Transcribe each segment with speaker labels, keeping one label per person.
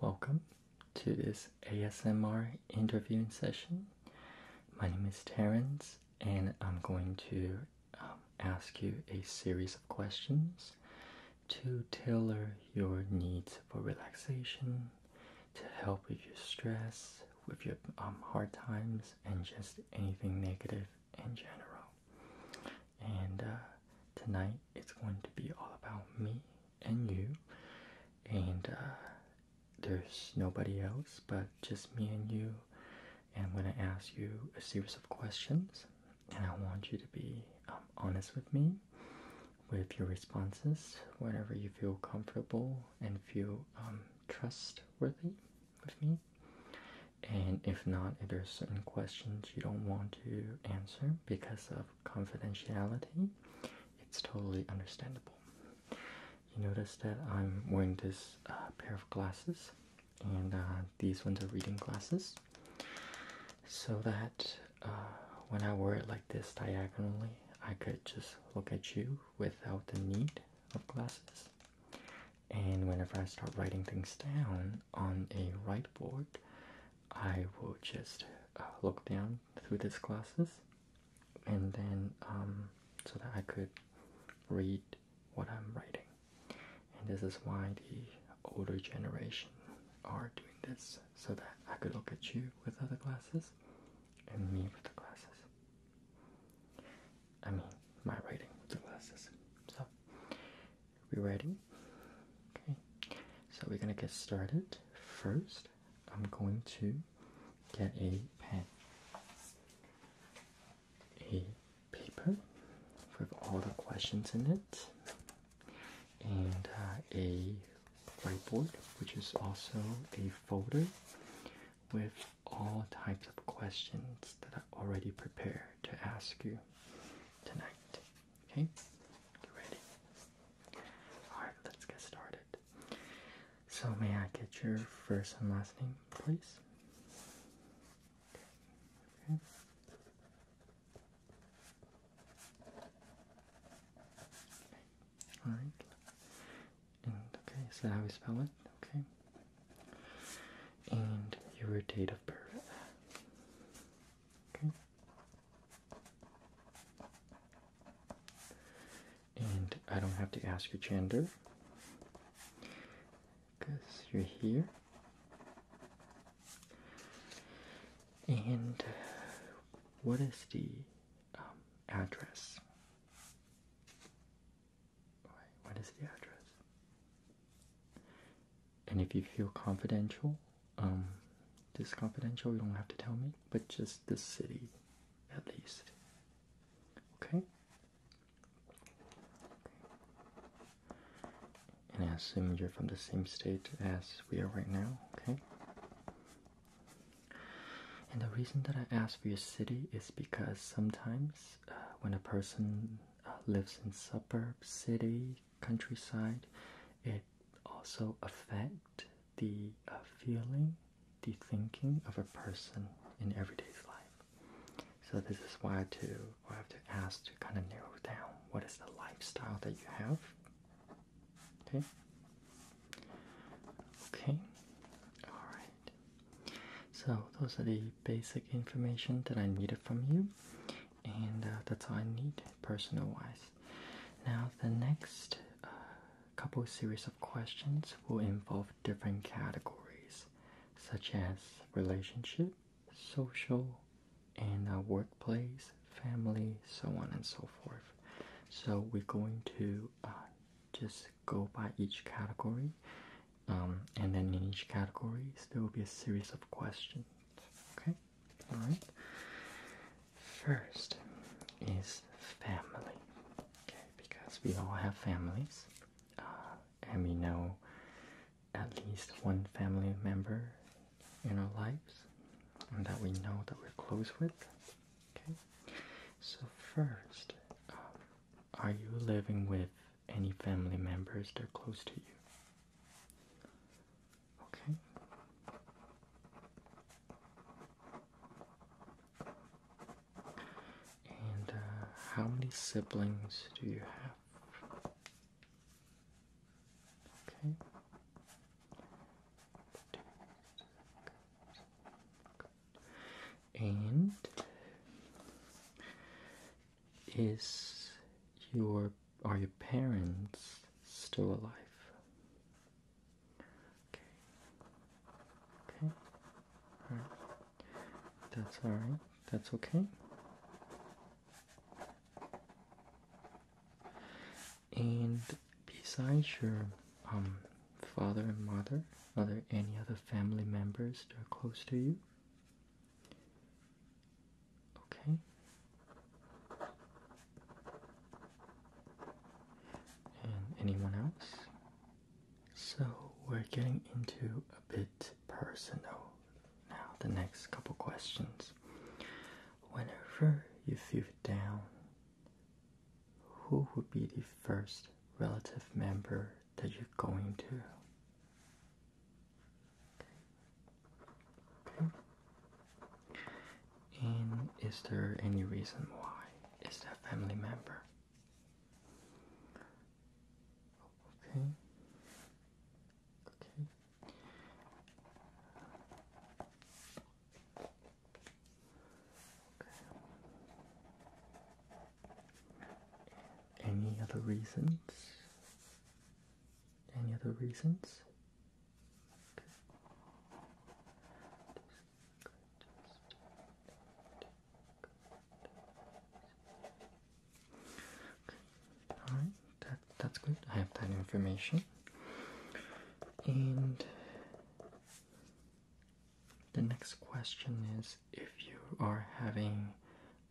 Speaker 1: Welcome to this ASMR interviewing session. My name is Terence, and I'm going to um, ask you a series of questions to tailor your needs for relaxation, to help with your stress, with your um, hard times, and just anything negative in general. And uh, tonight it's going to be all about me and you. And uh, there's nobody else but just me and you. And I'm going to ask you a series of questions. And I want you to be um, honest with me with your responses whenever you feel comfortable and feel um, trustworthy with me and if not, if there's certain questions you don't want to answer because of confidentiality, it's totally understandable. You notice that I'm wearing this uh, pair of glasses, and uh, these ones are reading glasses, so that uh, when I wear it like this diagonally, I could just look at you without the need of glasses and whenever I start writing things down on a whiteboard, I will just uh, look down through these glasses, and then um, so that I could read what I'm writing. And this is why the older generation are doing this so that I could look at you with other glasses and me with the glasses. I mean, my writing with the glasses. So, we ready? Okay, so we're gonna get started. First, I'm going to get a pen, a paper with all the questions in it, and uh, a whiteboard, which is also a folder with all types of questions that I already prepared to ask you tonight. Okay? You ready? Alright, let's get started. So, may I get your first and last name, please? Okay. All right. okay, is that how we spell it? Okay and your date Okay. And I don't have to ask your gender because you're here. And what is the um, address? What is the address? And if you feel confidential, um, this confidential, you don't have to tell me, but just the city at least. Okay? And I assume you're from the same state as we are right now, okay? And the reason that I ask for your city is because sometimes uh, when a person uh, lives in suburb, city, countryside it also affect the uh, feeling the thinking of a person in everyday life so this is why I have to ask to kind of narrow down what is the lifestyle that you have okay okay all right so those are the basic information that I needed from you and uh, that's all I need personal wise. Now, the next uh, couple series of questions will involve different categories such as relationship, social, and uh, workplace, family, so on and so forth. So, we're going to just go by each category, um, and then in each categories there will be a series of questions. Okay, alright. First is family. Okay, because we all have families. Uh, and we know at least one family member in our lives and that we know that we're close with. Okay, so first, um, are you living with any family members they are close to you. Okay. And uh, how many siblings do you have? Okay. And is your are your parents still alive? Okay. Okay. That's all right. That's okay. And besides your um father and mother, are there any other family members that are close to you? Okay. And anyone else? So we're getting into a bit personal now, the next couple questions. Whenever you feel down, who would be the first relative member that you're going to? And is there any reason why? Is that family member? Okay. Okay. Okay. Any other reasons? Any other reasons? Okay. All right, that that's good. I have that information. And the next question is if you are having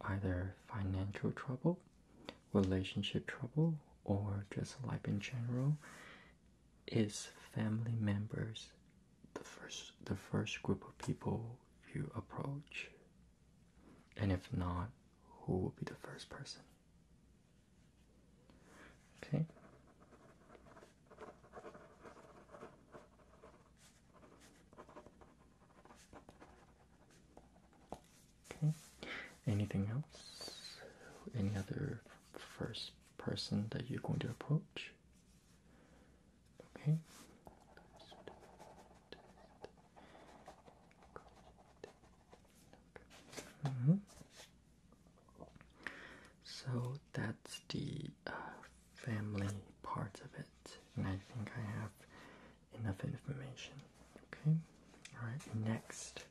Speaker 1: either financial trouble relationship trouble or just life in general is family members the first the first group of people you approach and if not who will be the first person okay Okay. Anything else? Any other first person that you're going to approach? Okay. Mm-hmm. So that's the uh, family part of it, and I think I have enough information. Okay? Alright, next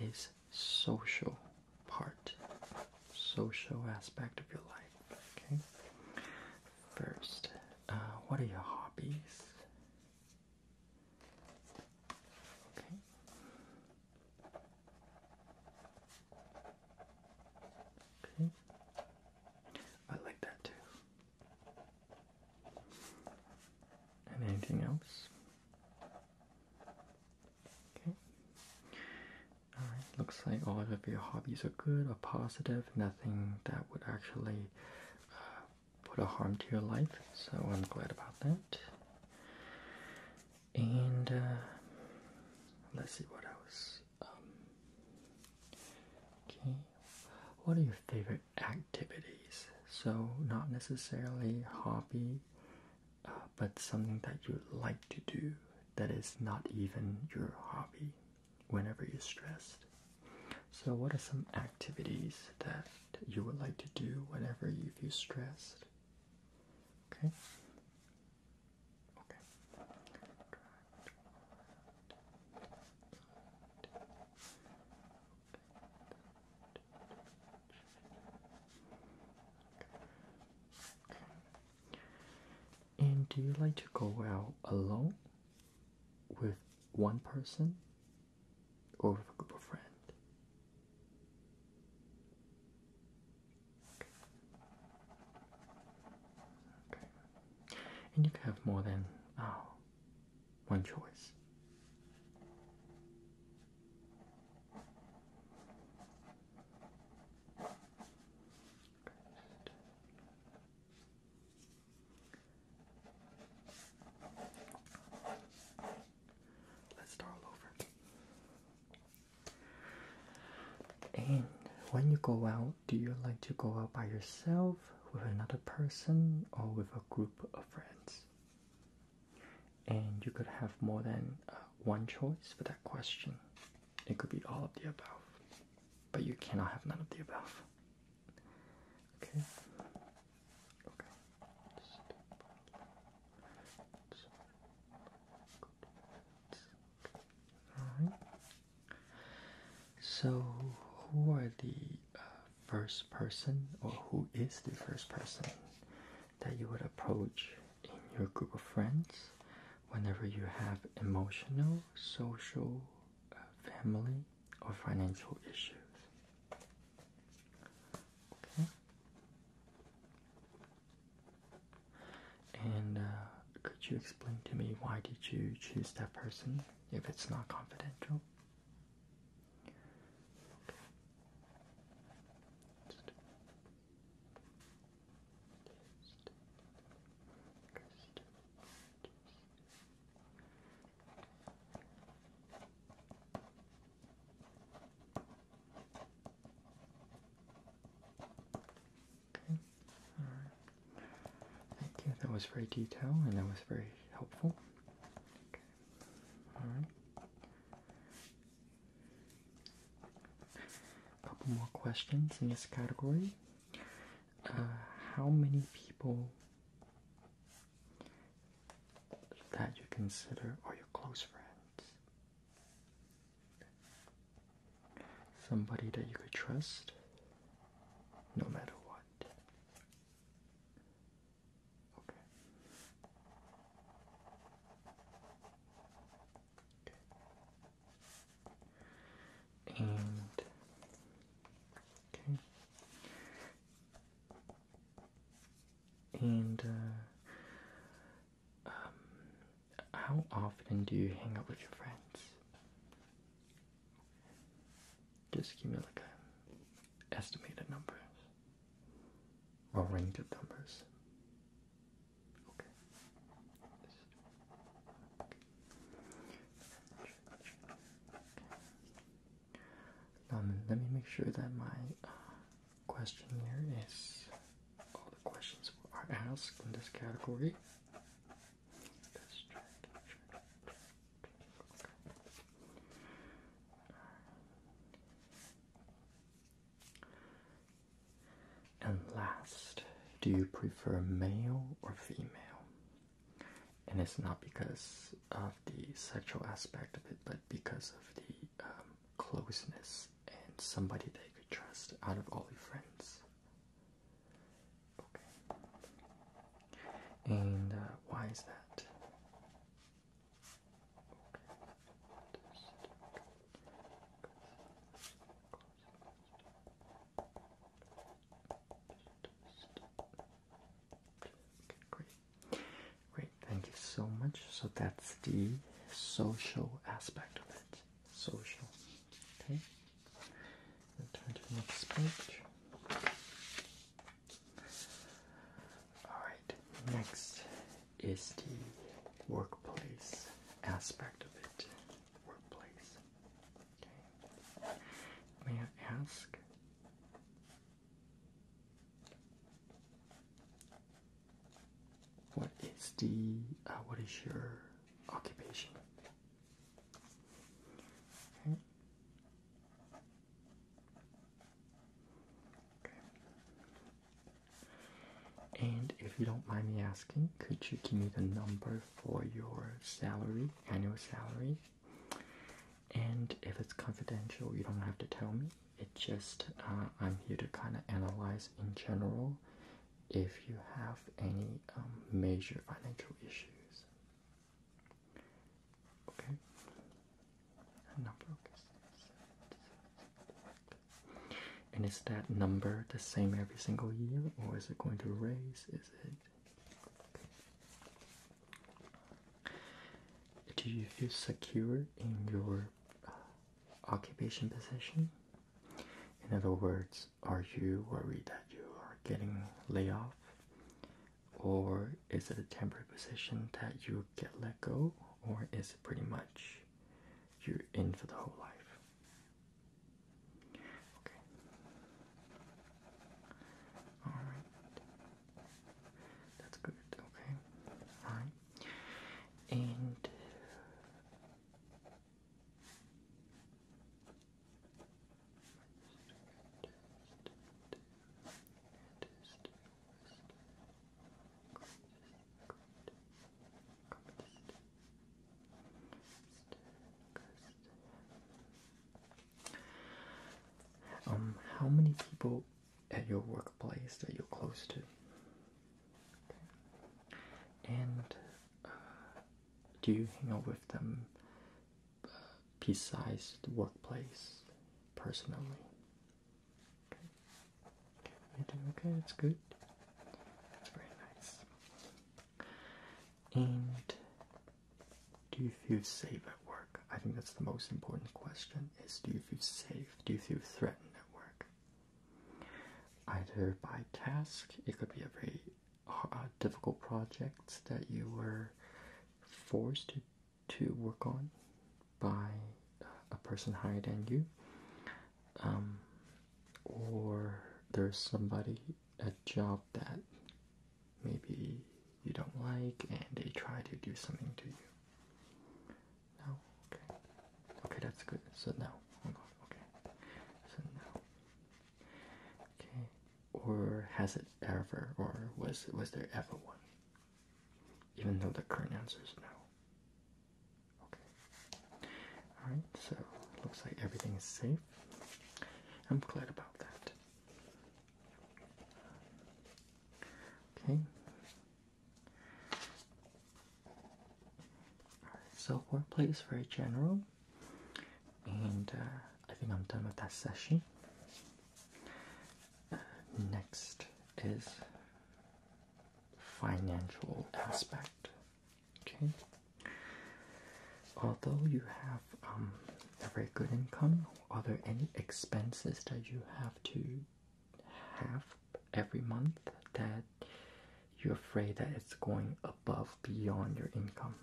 Speaker 1: is social part. Social aspect of your life. Okay? First, uh, what are your hobbies? Okay. Okay. I like that too. And anything else? Okay. Alright, looks like all of your hobbies are good or positive, nothing that would actually uh, put a harm to your life, so I'm glad about that. And uh, let's see what else. Um, okay, what are your favorite? activities. So, not necessarily hobby, uh, but something that you like to do that is not even your hobby whenever you're stressed. So, what are some activities that you would like to do whenever you feel stressed? Okay. Okay. And do you like to go out alone with one person or with a group of friends? And you can have more than oh, one choice. Let's start all over. And when you go out, do you like to go out by yourself? with another person, or with a group of friends. And you could have more than uh, one choice for that question. It could be all of the above, but you cannot have none of the above. Okay. Okay. So, who are the uh, first person or who is the first person that you would approach in your group of friends whenever you have emotional, social, uh, family, or financial issues. Okay. And uh, could you explain to me why did you choose that person if it's not confidential? Okay. Thank you. That was very detailed and that was very helpful. All right. A couple more questions in this category. Uh, how many people that you consider are your close friends? Somebody that you could trust no matter what. Okay. Okay. And okay. And uh, um, how often do you hang out with your friends? Just give me like a estimated numbers or range of numbers. Okay. let me make sure that my uh, questionnaire is all the questions are asked in this category. And last, do you prefer male or female? And it's not because of the sexual aspect of it, but because of the um, closeness and somebody that you could trust out of all your friends. Okay. And uh, why is that? Great. Great, thank you so much. So that's the social aspect of it. Social. Okay. Turn to the next page. Alright, next is the workplace aspect of it. Workplace. Okay. May I ask? What is the, uh, what is your occupation? And if you don't mind me asking, could you give me the number for your salary, annual salary? And if it's confidential, you don't have to tell me. It just uh, I'm here to kind of analyze in general if you have any um, major financial issues. Okay. A number, And is that number the same every single year, or is it going to raise? Is it? Do you feel secure in your occupation position? In other words, are you worried that you are getting laid off? or is it a temporary position that you get let go, or is it pretty much you're in for the whole life? Okay. Alright. That's good, okay. Alright. And uh, um, how many people at your workplace that you're close to? And uh, do you hang out with them uh, peace sized workplace personally. Okay. do that's good. That's very nice. And do you feel safe at work? I think that's the most important question is do you feel safe? Do you feel threatened at work? Either by task, it could be a very uh, difficult project that you were forced to to work on by uh, a person higher than you, um, or there's somebody a job that maybe you don't like and they try to do something to you. No, okay, okay, that's good. So now, okay, so now, okay, or has it ever, or was was there ever one? Even though the current answer is no. Okay. Alright, so looks like everything is safe. I'm glad about that. Okay. Alright, so workplace very general. And uh, I think I'm done with that session. Next is financial aspect. Okay. Although you have um, a very good income, are there any expenses that you have to have every month that you're afraid that it's going above beyond your income?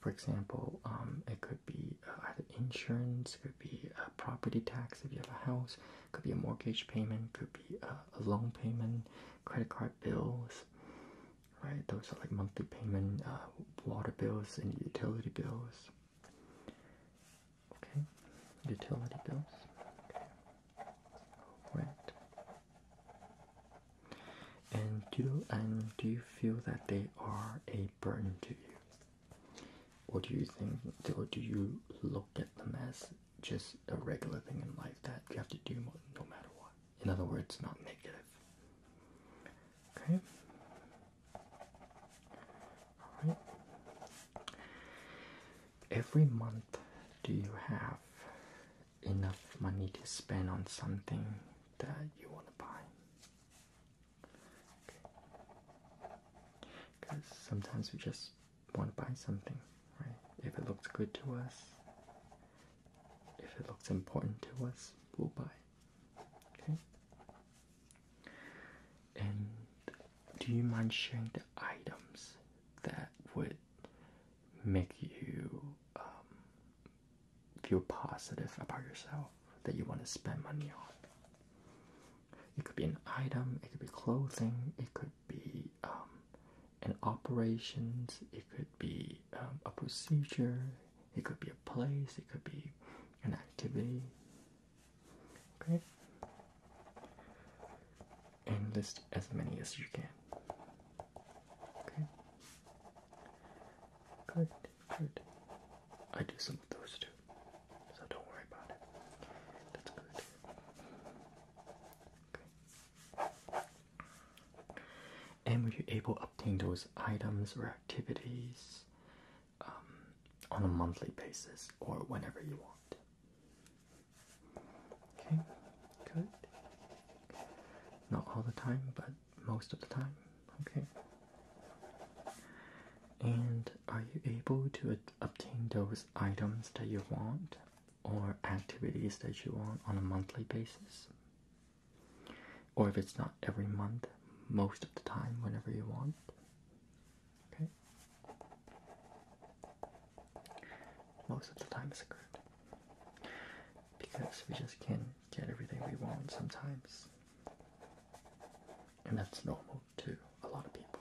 Speaker 1: For example, um, it could be uh, either insurance, it could be a property tax if you have a house, could be a mortgage payment, could be a loan payment, credit card bills, right? Those are like monthly payment, uh, water bills and utility bills. Okay, utility bills. Okay. Right. And do you, and do you feel that they are a Burden to you? Or do you think, or do you look at them as just a regular thing in life that you have to do no matter what? In other words, not negative. Okay? Every month, do you have enough money to spend on something that you want to buy? Because sometimes we just want to buy something, right? If it looks good to us, if it looks important to us, we'll buy. Okay? And do you mind sharing the items that would make you um, feel positive about yourself? that you want to spend money on. It could be an item, it could be clothing, it could be um, an operations, it could be um, a procedure, it could be a place, it could be an activity. Okay? And list as many as you can. Okay? Good good. I do some of those too, so don't worry about it. That's good. Okay. And were you able to obtain those items or activities um, on a monthly basis or whenever you want? Okay, good. Not all the time, but most of the time. Okay. And are you able to obtain those items that you want or activities that you want on a monthly basis? Or if it's not every month, most of the time, whenever you want. Okay. Most of the time is good. Because we just can't get everything we want sometimes. And that's normal to a lot of people.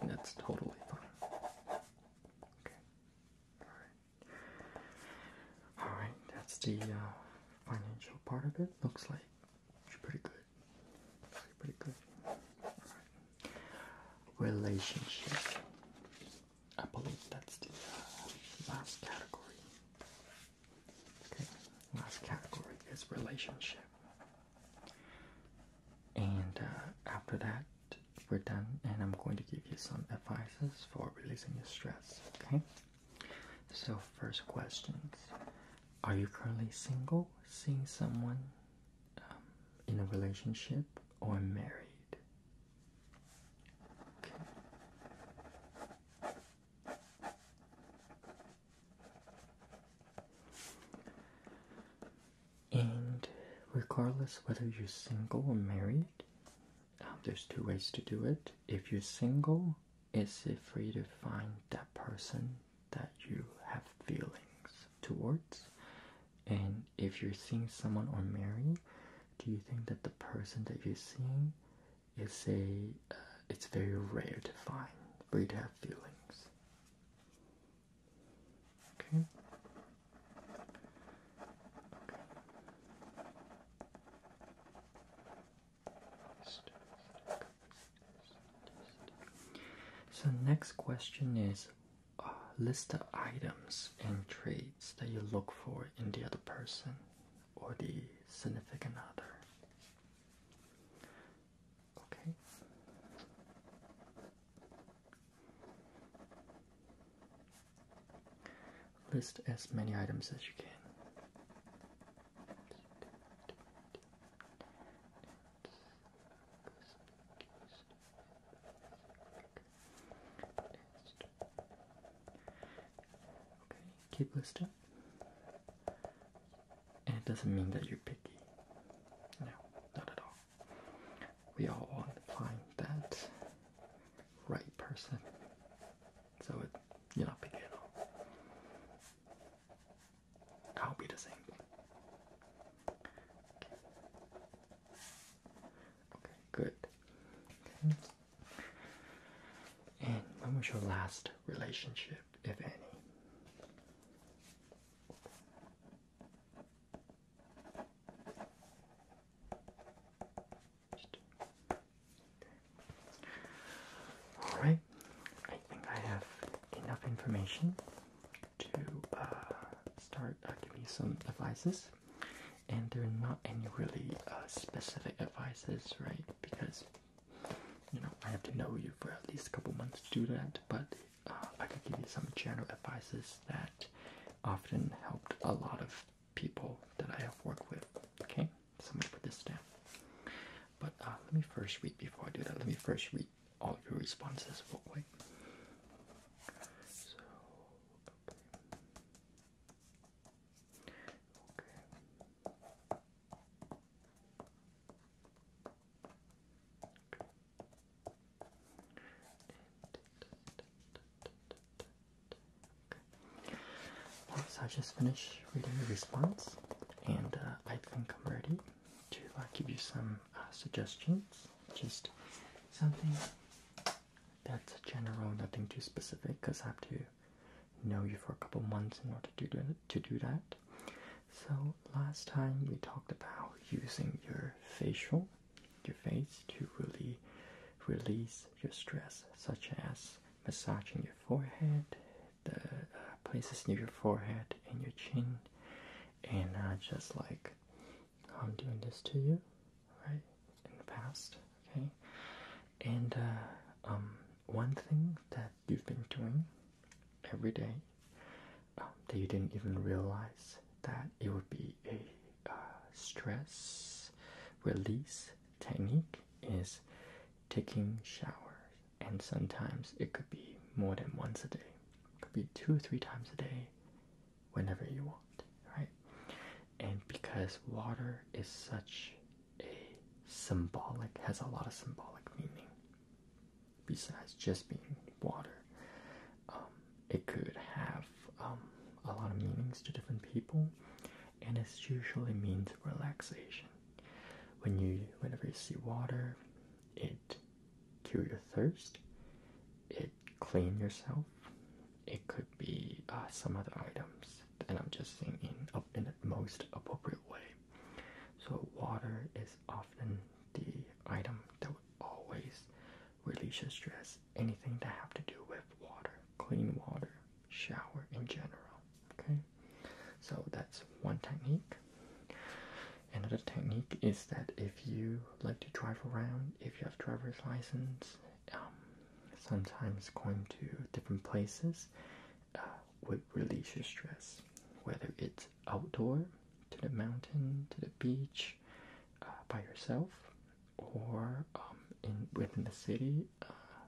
Speaker 1: And that's totally fine. Okay. Alright. Alright, that's the uh, financial part of it. Looks like pretty good. pretty good. Right. Relationship. I believe that's the uh, last category. Okay, last category is relationship. And uh, after that, we're done, and I'm going to give you some advices for releasing your stress. Okay, so first questions Are you currently single, seeing someone um, in a relationship, or married? And regardless whether you're single or married, um, there's two ways to do it. If you're single, it's for you to find that person that you have feelings towards. And if you're seeing someone or married, do you think that the person that you're seeing it's a uh, it's very rare to find for you to have feelings. Okay. So next question is uh, list the items and traits that you look for in the other person or the significant other. Okay. List as many items as you can. Okay, keep listing it doesn't mean that you're picky. No, not at all. We all want to find that right person. So it, you're not picky at all. I'll be the same. Okay, good. And when was your last relationship? if any. All right, I think I have enough information to uh, start uh, giving you some advices, and they're not any really uh, specific advices, right? Because you know, I have to know you for at least a couple months to do that, but uh, I could give you some general advices that often helped a lot of people that I have worked with. Okay, so I'm gonna put this down. But uh, let me first read before I do that. Let me first read all your responses okay. So I just finished reading the response, and uh, I think I'm ready to uh, give you some uh, suggestions. Just something that's general, nothing too specific, because I have to know you for a couple months in order to do that, So last time we talked about using your facial, your face to really release your stress, such as massaging your forehead, the uh, places near your forehead and your chin, and uh, just like I'm doing this to you, right? In the past, okay. And uh, um, one thing that you've been doing every day um, that you didn't even realize that it would be a uh, stress release technique is taking showers and sometimes it could be more than once a day could be two or three times a day whenever you want right and because water is such a symbolic, has a lot of symbolic meaning. Besides just being water, um, it could have um, a lot of meanings to different people, and it usually means relaxation. When you, whenever you see water, it cure your thirst, it clean yourself. It could be uh, some other items, and I'm just saying in, in the most appropriate way. So, water is often the item that would always release your stress. Anything that have to do with water, clean water, shower in general. Okay, so that's one technique. Another technique is that if you like to drive around, if you have driver's license, um, sometimes going to different places uh, would release your stress, whether it's outdoor, to the mountain, to the beach, uh, by yourself, or um, in within the city, uh,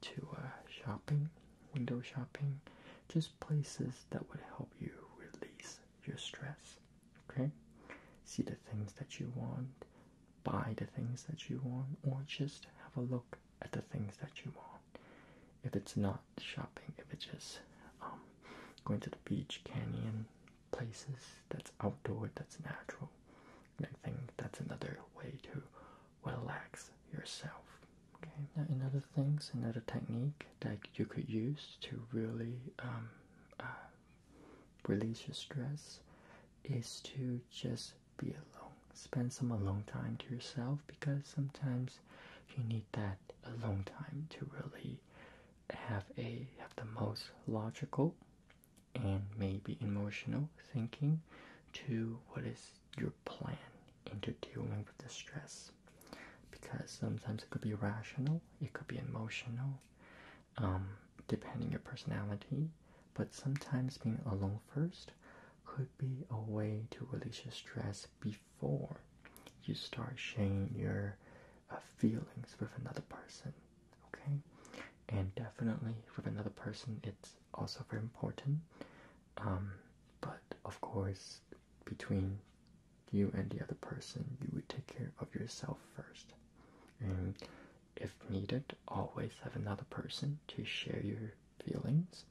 Speaker 1: to shopping, window shopping, just places that would help you release your stress. Okay, see the things that you want, buy the things that you want, or just have a look at the things that you want if it's not shopping, if it's just um, going to the beach, canyon, places that's outdoor, that's natural. I think that's another way to relax yourself. Okay. Now, another things, another technique that you could use to really um, uh, release your stress is to just be alone. Spend some alone time to yourself because sometimes you need that alone time to really have a have the most logical and maybe emotional thinking to what is your plan into dealing with the stress because sometimes it could be rational, it could be emotional, um, depending your personality. But sometimes being alone first could be a way to release your stress before you start sharing your uh, feelings with another person. Okay, and definitely with another person, it's also very important. Um, but of course, between you and the other person, you would take care of yourself first, and if needed, always have another person to share your feelings,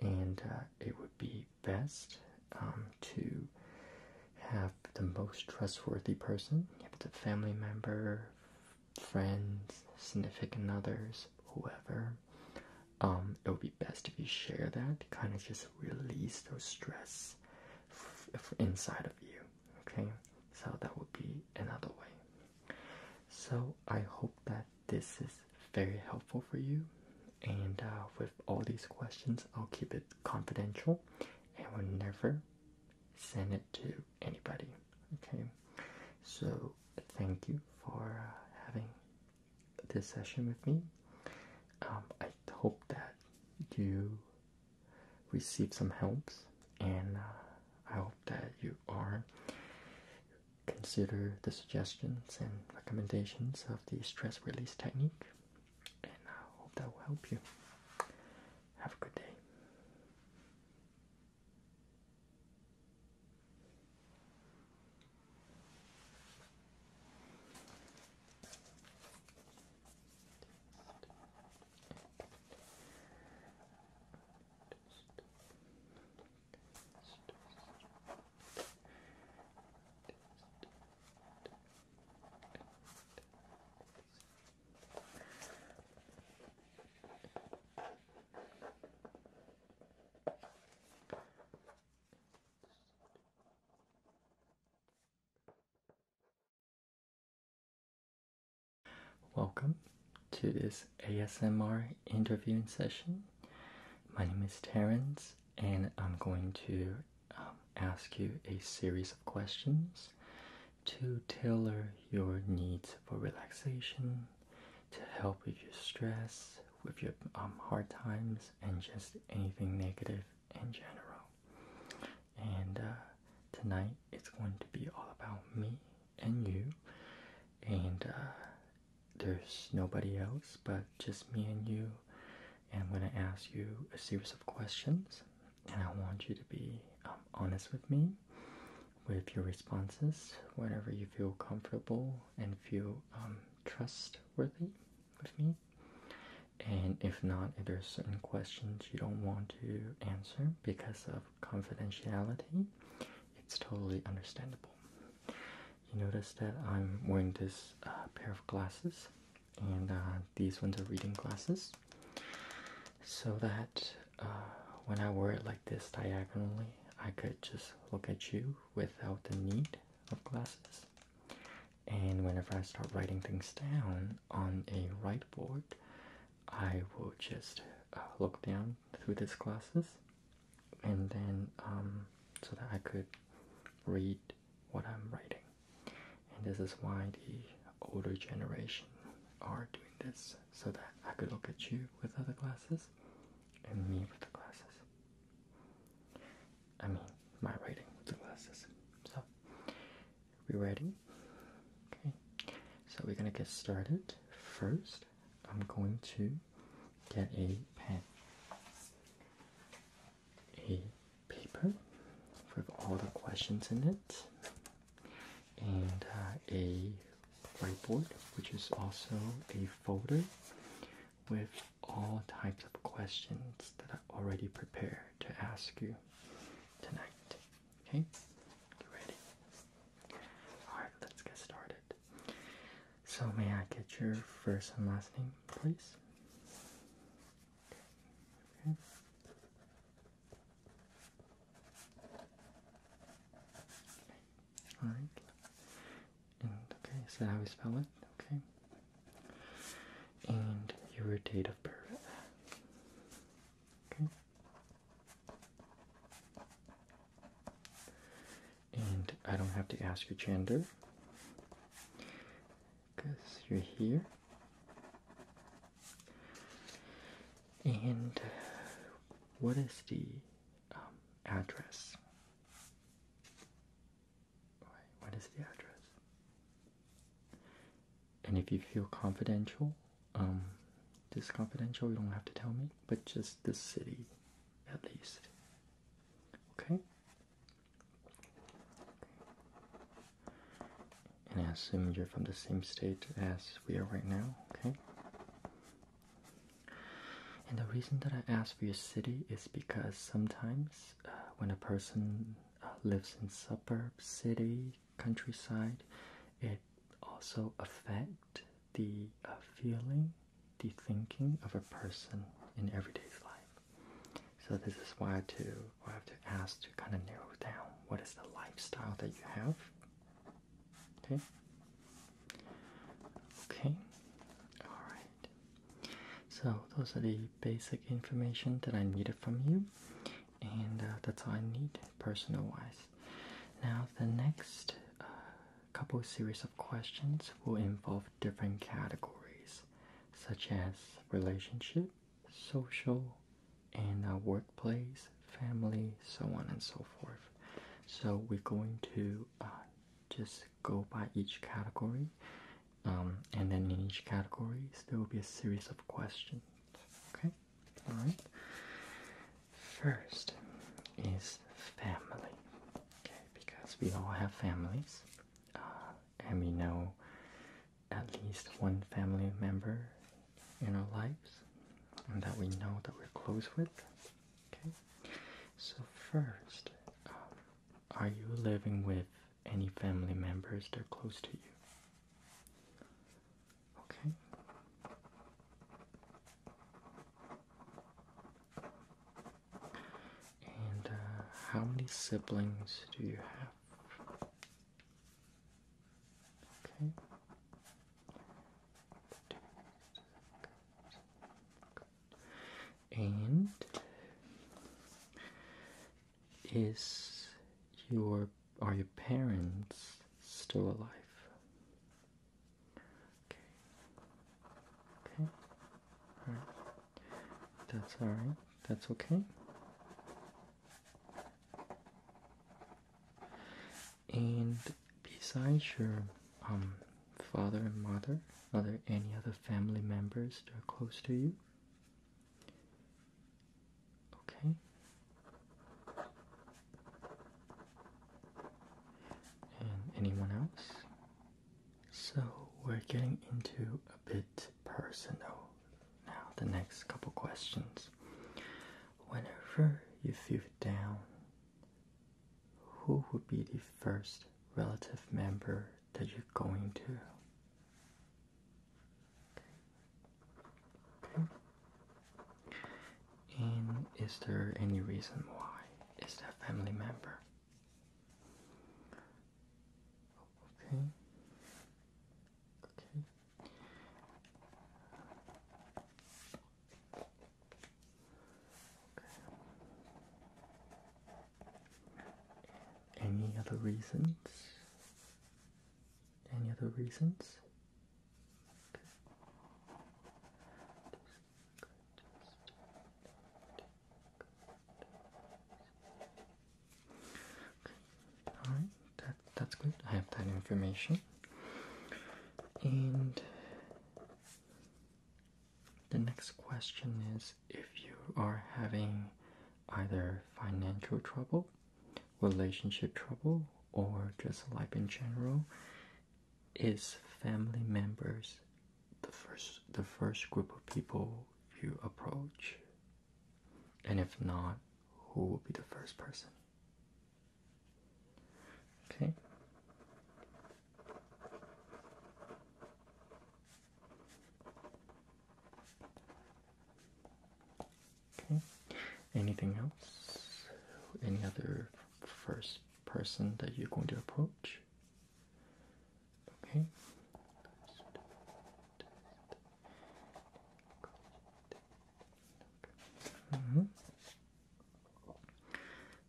Speaker 1: and uh, it would be best um, to have the most trustworthy person. If it's a family member, friends, significant others, whoever, um, it would be best if you share that kind of just release those stress inside of you. Okay, so that would be another way. So I hope that this is very helpful for you. And uh, with all these questions, I'll keep it confidential and will never send it to anybody. Okay, so thank you for uh, having this session with me. Um, I hope that you receive some helps, and uh, I hope that you are consider the suggestions and recommendations of the stress release technique, and I hope that will help you. Have a good day. Welcome to this ASMR interviewing session. My name is Terrence, and I'm going to um, ask you a series of questions to tailor your needs for relaxation, to help with your stress, with your um, hard times, and just anything negative in general. And uh, tonight it's going to be all about me and you, and uh, there's nobody else but just me and you. And I'm going to ask you a series of questions, and I want you to be um, honest with me with your responses whenever you feel comfortable and feel um, trustworthy with me. And if not, if there's certain questions you don't want to answer because of confidentiality, it's totally understandable you notice that I'm wearing this uh, pair of glasses, and uh, these ones are reading glasses, so that uh, when I wear it like this diagonally, I could just look at you without the need of glasses. And whenever I start writing things down on a whiteboard, I will just look down through these glasses, and then um, so that I could read what I'm writing. And this is why the older generation are doing this so that I could look at you with other glasses and me with the glasses. I mean, my writing with the glasses. So, we ready? Okay, so we're gonna get started first. I'm going to get a pen, a paper with all the questions in it, and uh, a whiteboard, which is also a folder with all types of questions that I already prepared to ask you tonight. Okay, you ready? Alright, let's get started. So may I get your first and last name, please? Okay. All right. And okay, is that how we spell it? Okay. And your date of birth. Okay and I don't have to ask your gender because you're here. And uh, what is the um, address? What is the address? And if you feel confidential, disconfidential, um, you don't have to tell me, but just the city, at least. Okay? And I assume you're from the same state as we are right now, okay? And the reason that I ask for your city is because sometimes uh, when a person uh, lives in suburb, city, countryside, it also affect the uh, feeling the thinking of a person in everyday life. So this is why I have to ask to kind of narrow down what is the lifestyle that you have. Okay. Okay. All right. So those are the basic information that I needed from you, and uh, that's all I need personal wise. Now the next uh, couple series of questions will involve different categories such as relationship, social, and uh, workplace, family, so on and so forth. So we're going to uh, just go by each category, um, and then in each category there will be a series of questions. Okay, all right. First is family. Okay, because we all have families, uh, and we know at least one family member in our lives, and that we know that we're close with. Okay, so first, um, are you living with any family members that are close to you? Okay. And uh, how many siblings do you have? Okay. And is your are your parents still alive? Okay. Okay. That's all right. That's okay. And besides your um father and mother, are there any other family members that are close to you? Okay. And anyone else? So we're getting into a bit personal now. The next couple questions. Whenever you feel down, who would be the first relative member that you're going to? And is there any reason why? Is that family member? Okay. Okay. Any other reasons? Any other reasons? Okay. All right, that's good. I have that information. And the next question is if you are having either financial trouble, relationship trouble, or just life in general, is family members the first the first group of people you approach and if not who will be the first person okay okay anything else any other first person that you're going to approach Okay. Mm-hmm.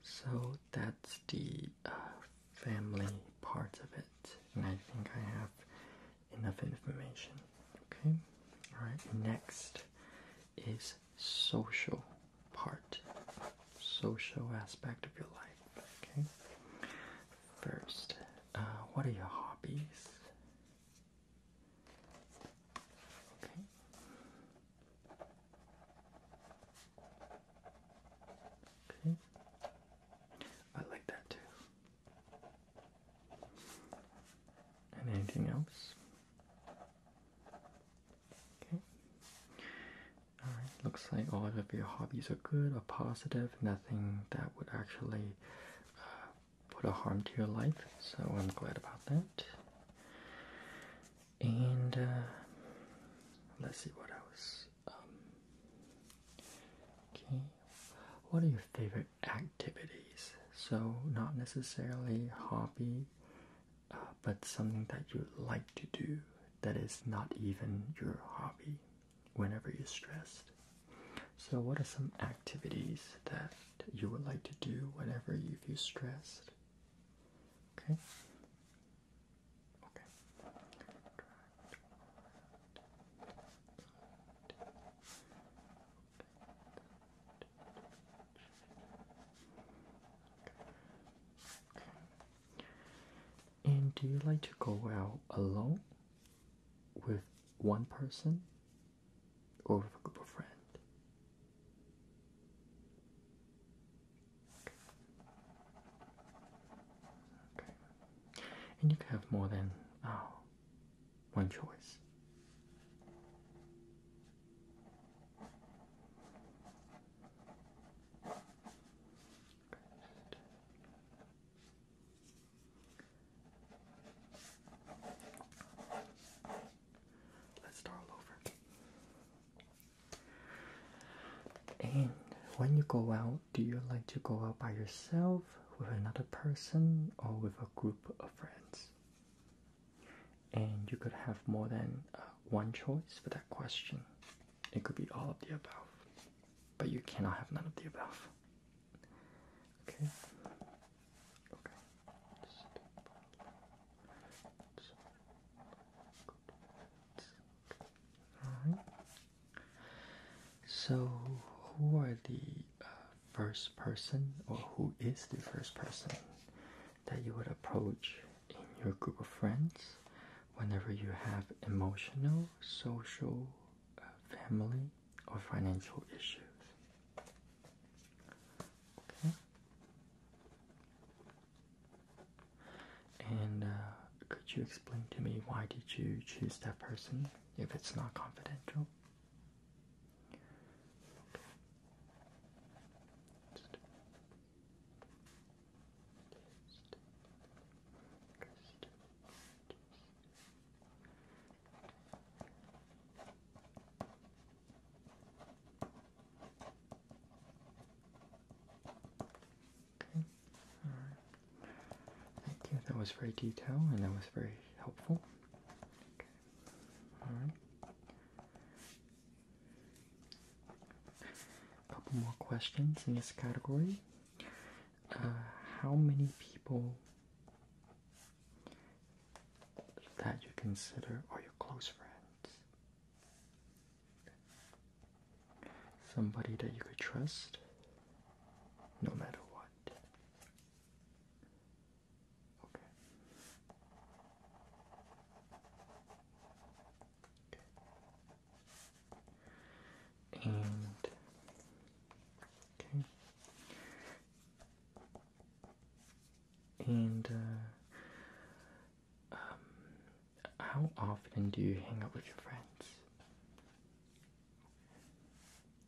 Speaker 1: So that's the uh, family part of it, and I think I have enough information. Okay, all right. Next is social part social aspect of your life. Okay. First, uh, what are your hobbies? Okay. Okay. I like that too. And anything else? Okay looks like all of your hobbies are good or positive, nothing that would actually uh, put a harm to your life, so I'm glad about that. And uh, let's see what else. Um, okay, what are your favorite activities? So, not necessarily hobby, uh, but something that you like to do that is not even your hobby whenever you're stressed. So, what are some activities that you would like to do whenever you feel stressed? Okay. Okay. And do you like to go out alone with one person or with a group of friends? And you can have more than uh, one choice. Let's start all over. And when you go out, do you like to go out by yourself, with another person, or with a group of friends? And you could have more than uh, one choice for that question. It could be all of the above, but you cannot have none of the above. Okay. Okay. So, who are the uh, first person, or who is the first person that you would approach in your group of friends whenever you have emotional, social, uh, family, or financial issues. Okay? And uh, could you explain to me why did you choose that person if it's not confidential? Thank you, that was very detailed and that was very helpful. Okay, alright. A couple more questions in this category. Uh, how many people that you consider are your close friends? Somebody that you could trust no matter what. Okay and okay and uh, um, how often do you hang out with your friends?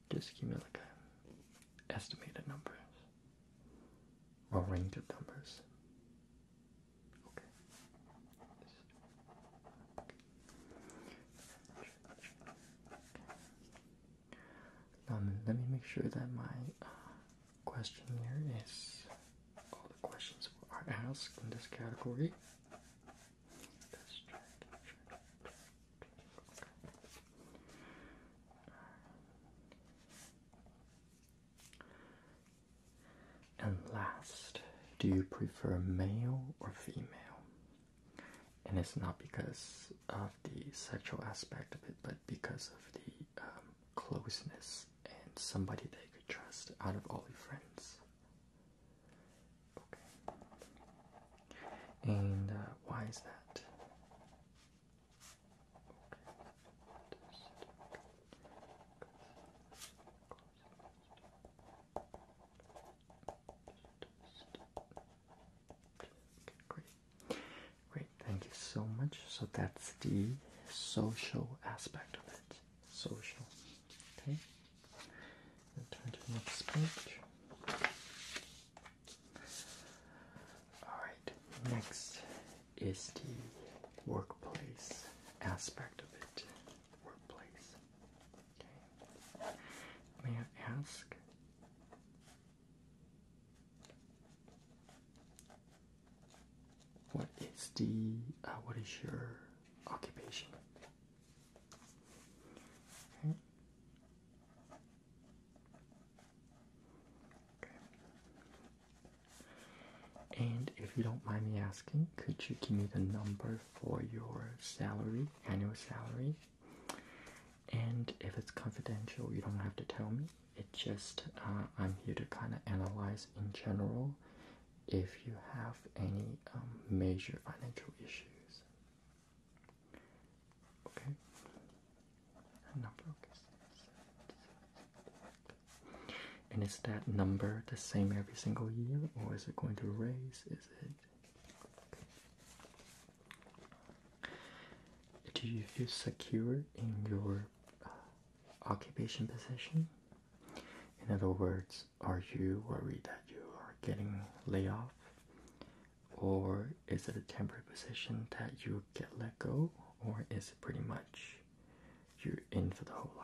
Speaker 1: Just give me like a estimated numbers or range of numbers. Um, let me make sure that my uh, question here is all the questions are asked in this category. And last, do you prefer male or female? And it's not because of the sexual aspect of it, but because of the um, closeness and somebody they could trust out of all your friends. Okay. And uh, why is that? great. thank you so much. So that's the social aspect of it. Social. Okay. turn to the next page. Alright, next is the workplace aspect of it workplace. Okay. May I ask? What is the uh, what is your occupation? Okay. Okay. And if you don't mind me asking, could you give me the number for your salary, annual salary? And if it's confidential, you don't have to tell me. It just uh, I'm here to kind of analyze in general if you have any um, major financial issues. Okay. Number. Okay. And is that number the same every single year, or is it going to raise? is it. Do you feel secure in your uh, occupation position? In other words, are you worried that you are getting laid off? Or is it a temporary position that you get let go? Or is it pretty much you're in for the whole life?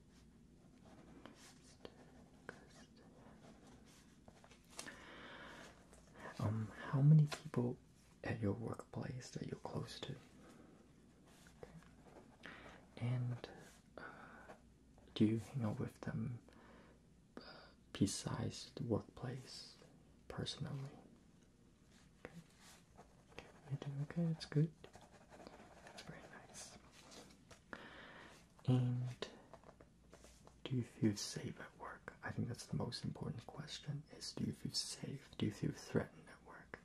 Speaker 1: Um, how many people at your workplace that you're close to? And uh, do you hang out with them uh, besides the workplace, personally? Okay. okay, that's good. That's very nice. And do you feel safe at work? I think that's the most important question is do you feel safe? Do you feel threatened at work?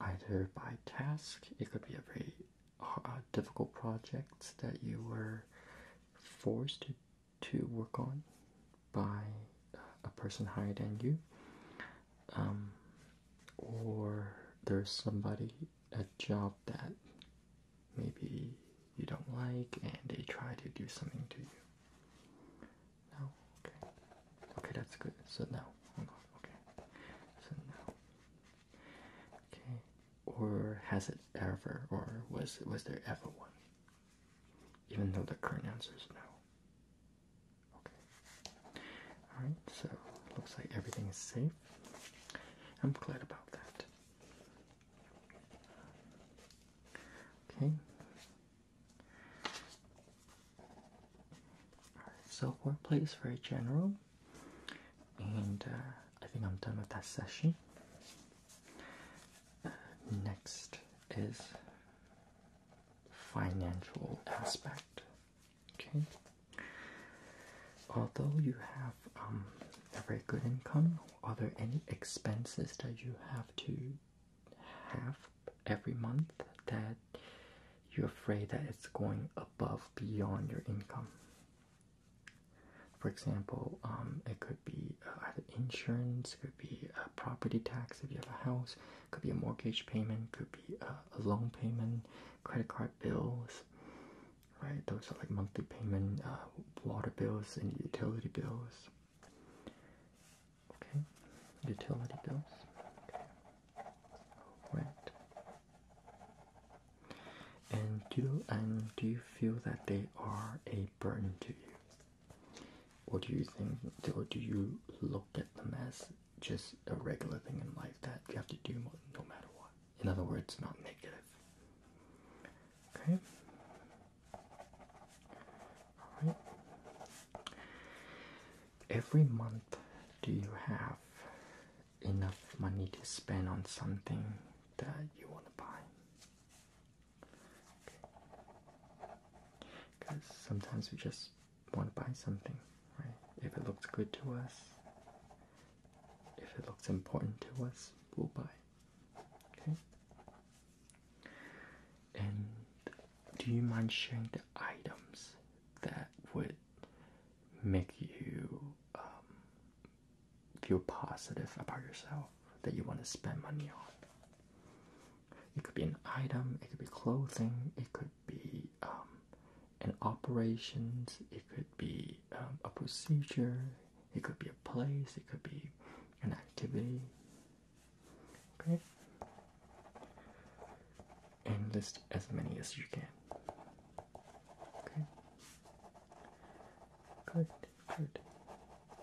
Speaker 1: Either by task, it could be a very uh, difficult project that you were forced to, work on by a person higher than you, um, or there's somebody a job that maybe you don't like and they try to do something to you. No? Okay. Okay, that's good. So now, Okay. So now. Okay. Or has it ever, or was, was there ever one? Even though the current answer is no. Okay. Alright, so looks like everything is safe. I'm glad about that. Okay. Alright, so wordplay is very general, and uh, I think I'm done with that session. Uh, next is financial aspect. Okay. Although you have um, a very good income, are there any expenses that you have to have every month that you're afraid that it's going above beyond your income? For example, um, it could be uh, either insurance, could be a property tax if you have a house, could be a mortgage payment, could be a loan payment, credit card bills, right? Those are like monthly payment, uh, water bills, and utility bills. Okay, utility bills. Okay. And do you, and do you feel that they are a burden to you, or do you think, or do you look at them as just a regular thing in life that you have to do no matter what? In other words, not negative. Okay? Every month, do you have enough money to spend on something that you want to buy? Because sometimes we just want to buy something, right? If it looks good to us, if it looks important to us, we'll buy. Okay? And do you mind sharing the items that would make you um, feel positive about yourself that you want to spend money on? It could be an item, it could be clothing, it could be um, an operations, it could be um, a procedure, it could be a place, it could be an activity. Okay? And list as many as you can. Okay? Good, good.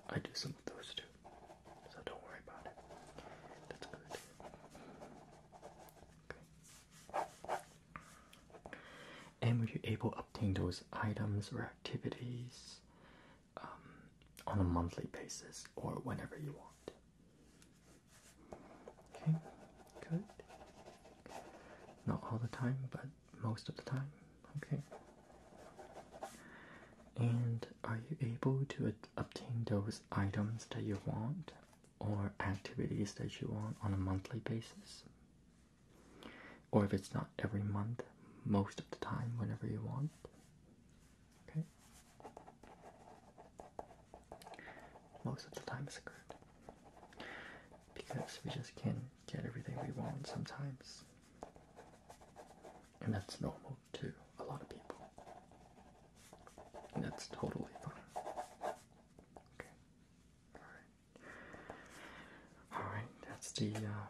Speaker 1: I do some of those too. So don't worry about it. That's good. Okay and were you able to obtain those items or activities um, on a monthly basis or whenever you want? Okay, good. Not all the time, but most of the time. Okay. And are you able to obtain those items that you want or activities that you want on a monthly basis, or if it's not every month, most of the time, whenever you want. Okay, most of the time is good because we just can't get everything we want sometimes, and that's normal too. a lot of people. that's totally fine. Okay. All right. Alright, that's the uh,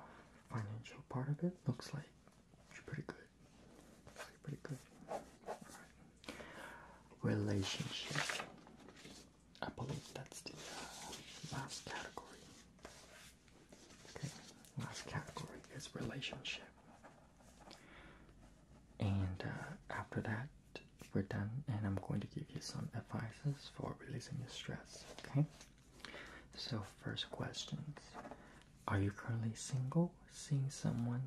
Speaker 1: financial part of it. Looks like pretty good. pretty good. Relationship. I believe that's the uh, last category. Okay, last category is relationship. And uh, after that, we're done and I'm going to give you some advices for releasing your stress, okay? So first questions. Are you currently single, seeing someone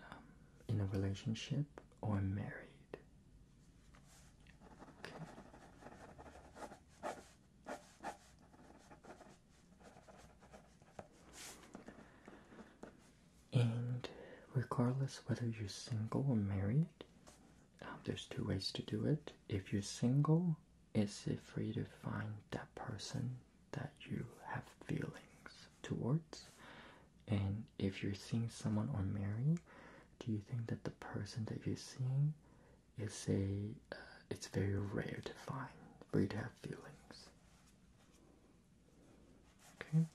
Speaker 1: um, in a relationship or married? And regardless whether you're single or married, um, there's two ways to do it. If you're single, it's free to find that person that you have feelings towards. And if you're seeing someone or married, do you think that the person that you're seeing is a uh, it's very rare to find for you to have feelings? Okay.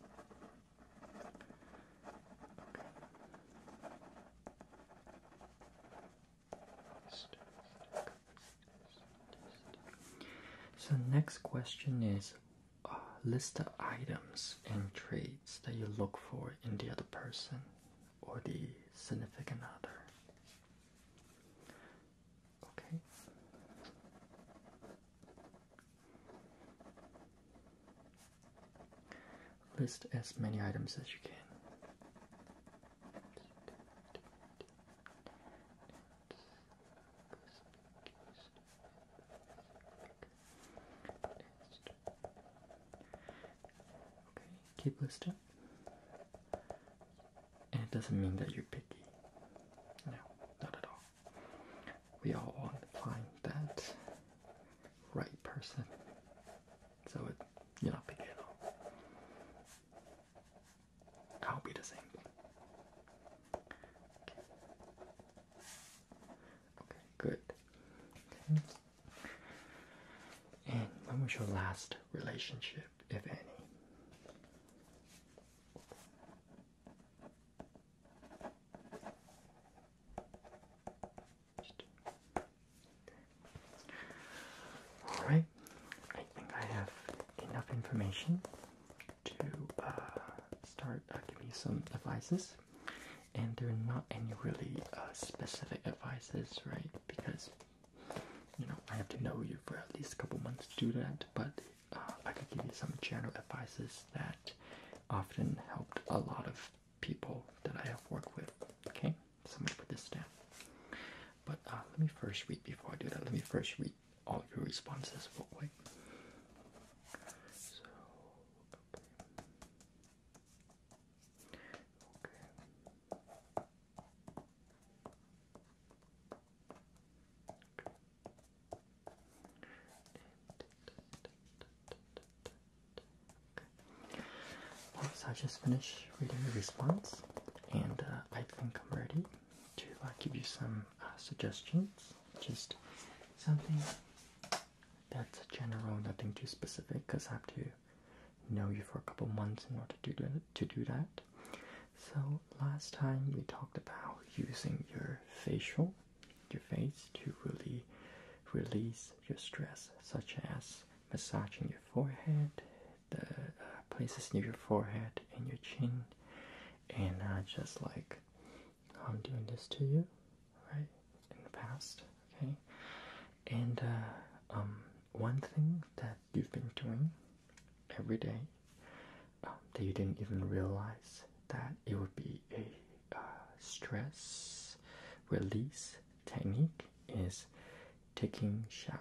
Speaker 1: So next question is uh, list the items and traits that you look for in the other person or the significant other. Okay. List as many items as you can. Okay, keep listing. And it doesn't mean that you're picky. No, not at all we all want to find that right person. So it, you're not big deal. I'll be the same. Okay. good. And when was your last relationship, if any? All right, I think I have enough information to uh, start uh, giving you some advices, and there are not any really uh, specific advices, right? Because you know I have to know you for at least a couple months to do that, but uh, I can give you some general advices that often helped a lot of people that I have worked with. Okay, so I'm gonna put this down. But uh, let me first read before I do that. Let me first read all of your responses real quick. So, okay. okay. Okay so I just finished reading your response, and uh, I think I'm ready to uh, give you some uh, suggestions. Just something that's general, nothing too specific, because I have to know you for a couple months in order to do that. So last time we talked about using your facial your face to really release your stress, such as massaging your forehead, the uh, places near your forehead and your chin, and just like I'm doing this to you, right, in the past, okay? And uh, um, one thing that you've been doing every day um, that you didn't even realize that it would be a uh, stress release technique is taking showers,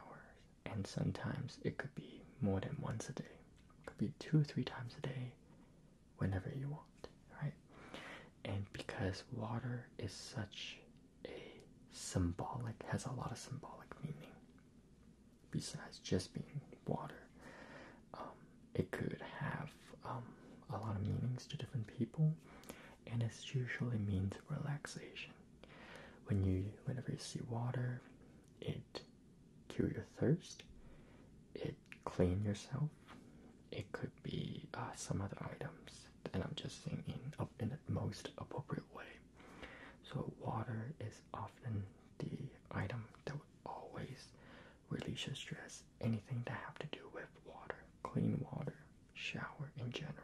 Speaker 1: and sometimes it could be more than once a day, it could be two or three times a day, whenever you want, right? And because water is such a symbolic, has a lot of symbolic meaning besides just being water. Um, it could have um, a lot of meanings to different people, and it usually means relaxation. When you, whenever you see water, it cure your thirst, it clean yourself. It could be uh, some other items, and I'm just saying in, the most appropriate way. So water is often the item that would always release your stress, anything to have to do with water, clean water, shower in general.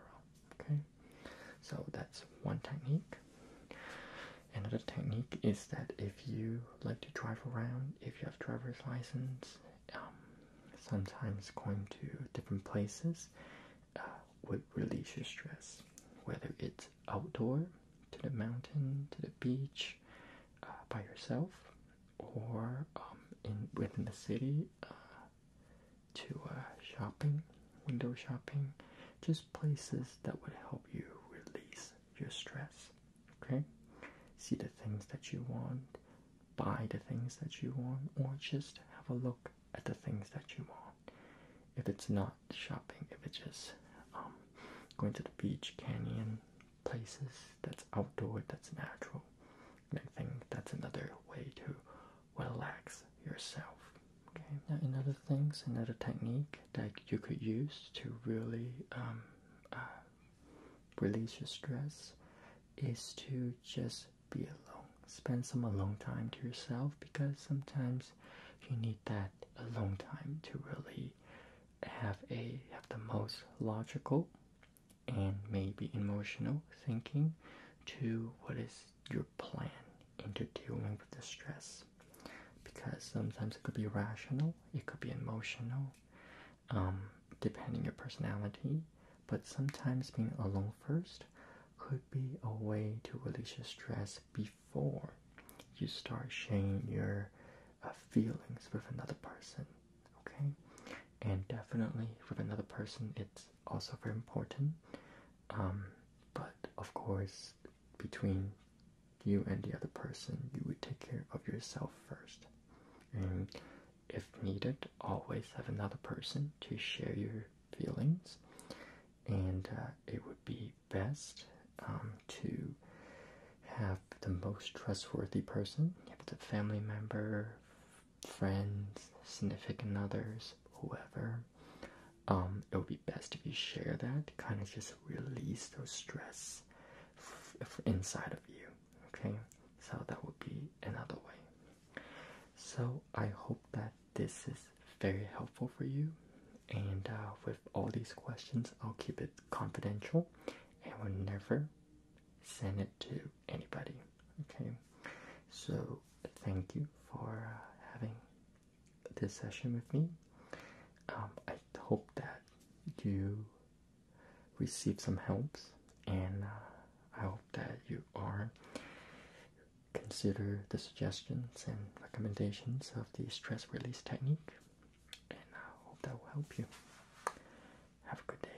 Speaker 1: Okay, so that's one technique. Another technique is that if you like to drive around, if you have driver's license, um, sometimes going to different places uh, would release your stress. Whether it's outdoor, to the mountain, to the beach, uh, by yourself, or um, in within the city uh, to uh, shopping, window shopping, just places that would help you release your stress. Okay, see the things that you want, buy the things that you want, or just have a look at the things that you want. If it's not shopping, if it's just um, going to the beach, canyon, places that's outdoor, that's natural. I think that's another way to relax yourself. Okay. Now, another things, another technique that you could use to really um, uh, release your stress is to just be alone. Spend some alone time to yourself because sometimes you need that alone time to really have a have the most logical and maybe emotional thinking to what is your plan into dealing with the stress because sometimes it could be rational it could be emotional um, depending your personality but sometimes being alone first could be a way to release your stress before you start sharing your uh, feelings with another person okay and definitely with another person it's also very important um, but of course between you and the other person you would take care of yourself first and if needed always have another person to share your feelings and uh, it would be best um, to have the most trustworthy person if it's a family member friends, significant others, whoever, um, it would be best if you share that to kind of just release those stress inside of you. Okay, so that would be another way. So I hope that this is very helpful for you. And uh, with all these questions, I'll keep it confidential and will never send it to anybody. Okay, so thank you for uh, having this session with me. Um, I hope that you receive some helps, and uh, I hope that you are consider the suggestions and recommendations of the stress release technique, and I hope that will help you. Have a good day.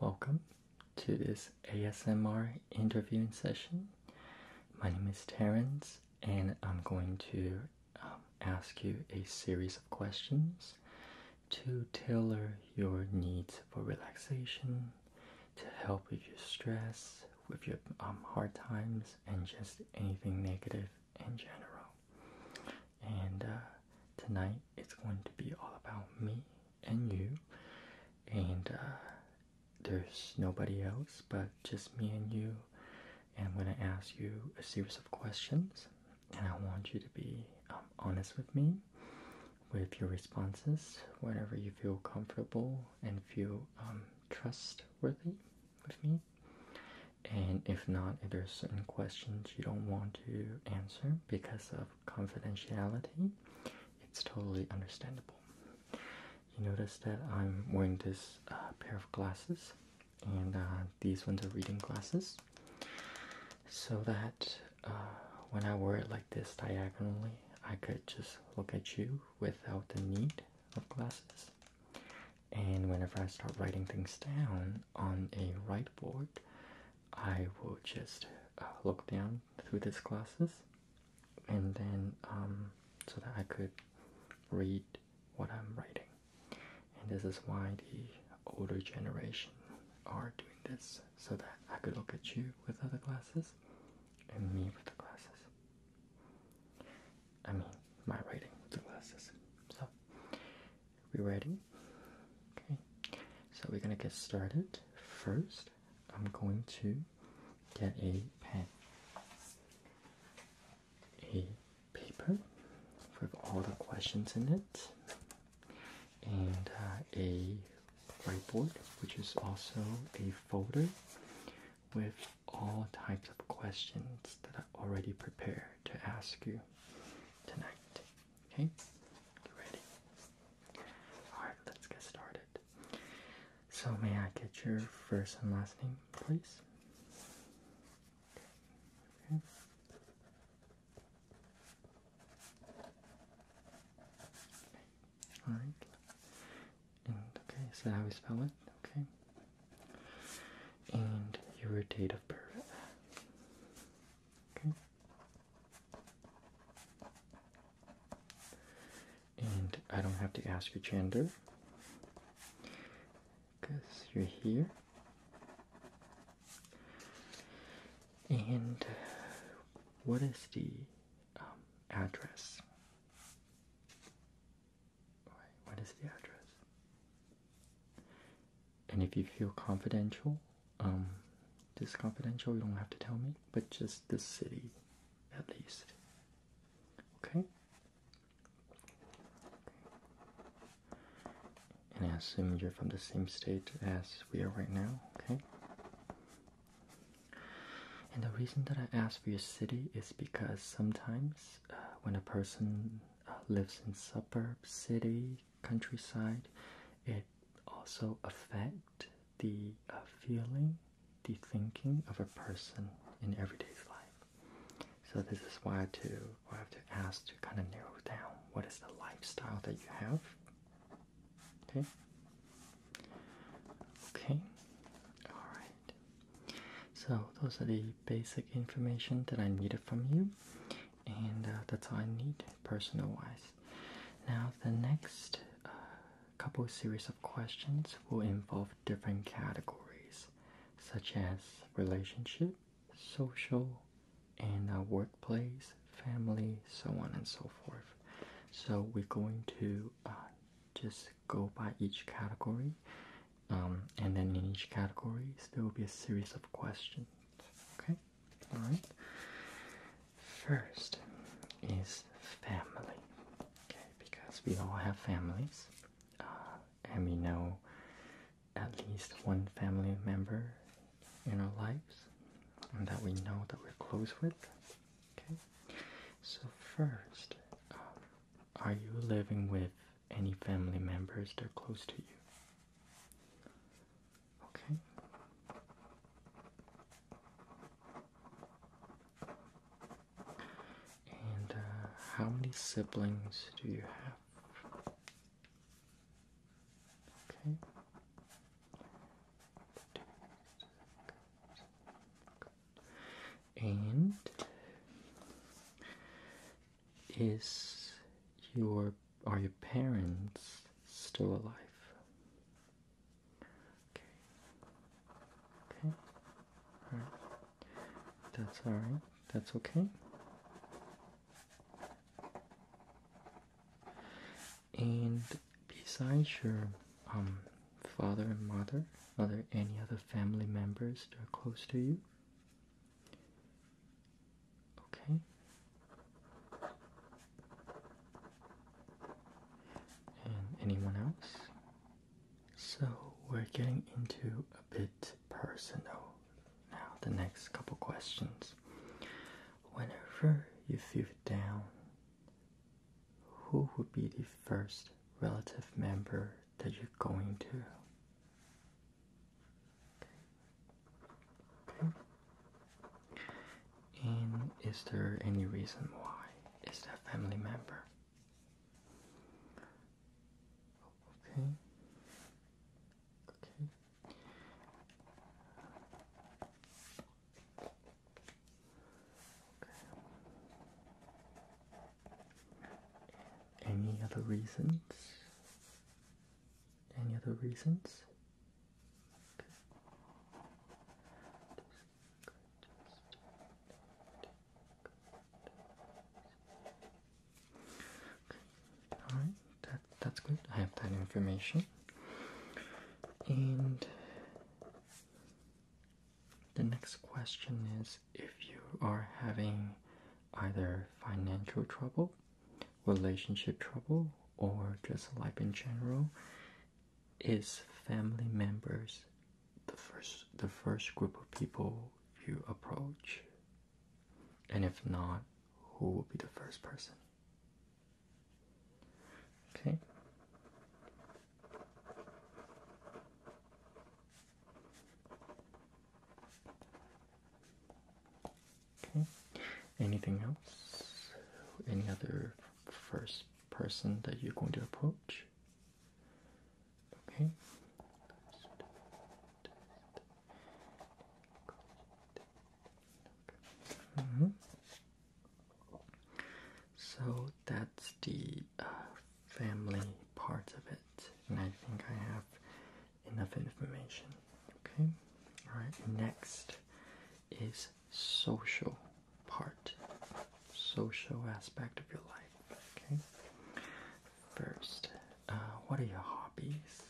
Speaker 1: Welcome to this ASMR interviewing session. My name is Terence, and I'm going to um, ask you a series of questions to tailor your needs for relaxation, to help with your stress, with your um, hard times, and just anything negative in general. And uh, tonight it's going to be all about me and you, and uh, there's nobody else but just me and you. And I'm going to ask you a series of questions, and I want you to be um, honest with me with your responses whenever you feel comfortable and feel um, trustworthy with me. And if not, if there's certain questions you don't want to answer because of confidentiality, it's totally understandable. You notice that I'm wearing this uh, pair of glasses, and uh, these ones are reading glasses so that uh, when I wear it like this diagonally, I could just look at you without the need of glasses. And whenever I start writing things down on a whiteboard, I will just uh, look down through these glasses and then um, so that I could read what I'm writing. And this is why the older generation are doing this so that I could look at you with other glasses and me with the glasses. I mean, my writing with the glasses. So, we ready? Okay. So we're gonna get started. First, I'm going to get a pen, a paper with all the questions in it and uh, a whiteboard, which is also a folder with all types of questions that I already prepared to ask you tonight. Okay, you ready? All right, let's get started. So, may I get your first and last name, please? Alright. And okay, is that how we spell it? Okay. And your date of birth. Okay. And I don't have to ask your gender because you're here. And what is the um, address? What is the address? And if you feel confidential, um, this confidential, you don't have to tell me, but just the city at least. Okay? and I assume you're from the same state as we are right now, okay? And the reason that I ask for your city is because sometimes uh, when a person uh, lives in suburb, city, countryside, it also affect the uh, feeling, the thinking of a person in everyday's life. So this is why to I have to ask to kind of narrow down what is the lifestyle that you have Okay. Okay. All right. So those are the basic information that I needed from you, and uh, that's all I need personal-wise. Now the next uh, couple series of questions will involve different categories, such as relationship, social, in workplace, family, so on and so forth. So we're going to uh, just go by each category, um, and then in each category there will be a series of questions. Okay, all right. First is family, okay, because we all have families, uh, and we know at least one family member in our lives and that we know that we're close with. Okay, so first, um, are you living with any family members that are close to you? Okay. And uh, how many siblings do you have? Okay. And is your are your parents still alive? Okay. Okay. That's all right. That's okay. And besides your um, father and mother, are there any other family members that are close to you? Okay. And anyone else? So we're getting into a bit personal now, the next couple questions. Whenever you feel down, who would be the first relative member that you're going to? Okay. And is there any reason why Is that family member? Okay. Okay. Any other reasons? Any other reasons? that's good. I have that information. And the next question is if you are having either financial trouble, relationship trouble, or just life in general, is family members the first the first group of people you approach? And if not, who will be the first person? Okay. Okay. Anything else? Any other first person that you're going to approach? Okay. Mm-hmm. So that's the uh, family part of it, and I think I have enough information. Okay, all right, next is social part social aspect of your life okay first uh, what are your hobbies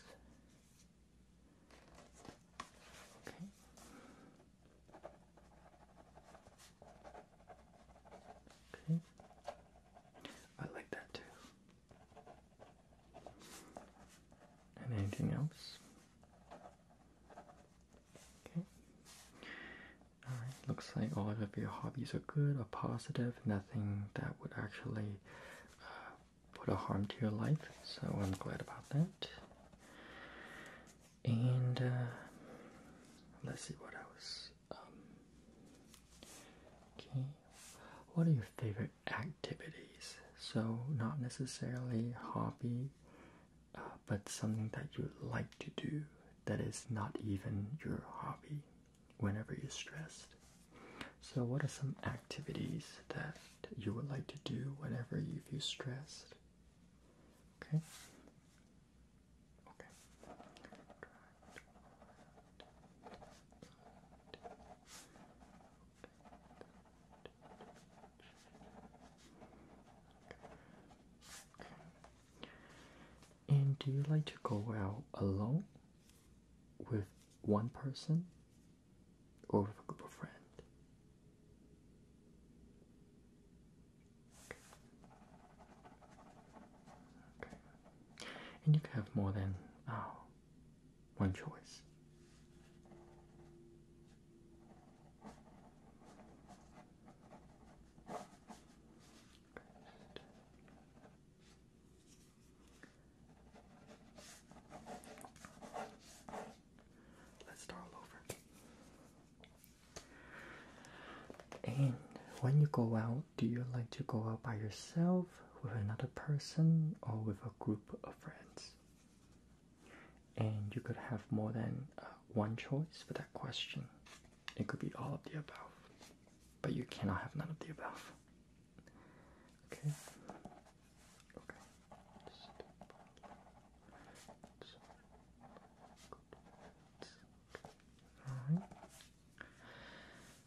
Speaker 1: Okay. Okay. I like that too. And anything else? Okay. Alright, looks like all of your hobbies are good or positive, nothing that would actually uh, put a harm to your life, so I'm glad about that. And uh, let's see what else. Um, okay, what are your favorite activities? So, not necessarily hobby, uh, but something that you like to do that is not even your hobby whenever you're stressed. So, what are some activities that that you would like to do whenever you feel stressed. Okay? Okay. And do you like to go out alone with one person or with a group of friends. And you can have more than uh, one choice. Let's start all over. And when you go out, do you like to go out by yourself, with another person, or with a group of friends? And you could have more than uh, one choice for that question. It could be all of the above, but you cannot have none of the above. Okay. Okay.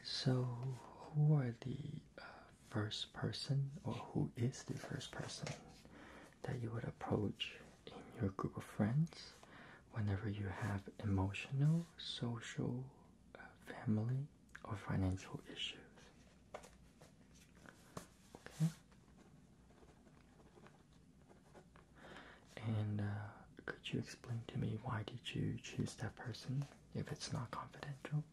Speaker 1: So, who are the uh, first person, or who is the first person that you would approach in your group of friends whenever you have emotional, social, uh, family, or financial issues? Okay. And uh, could you explain to me why did you choose that person if it's not confidential?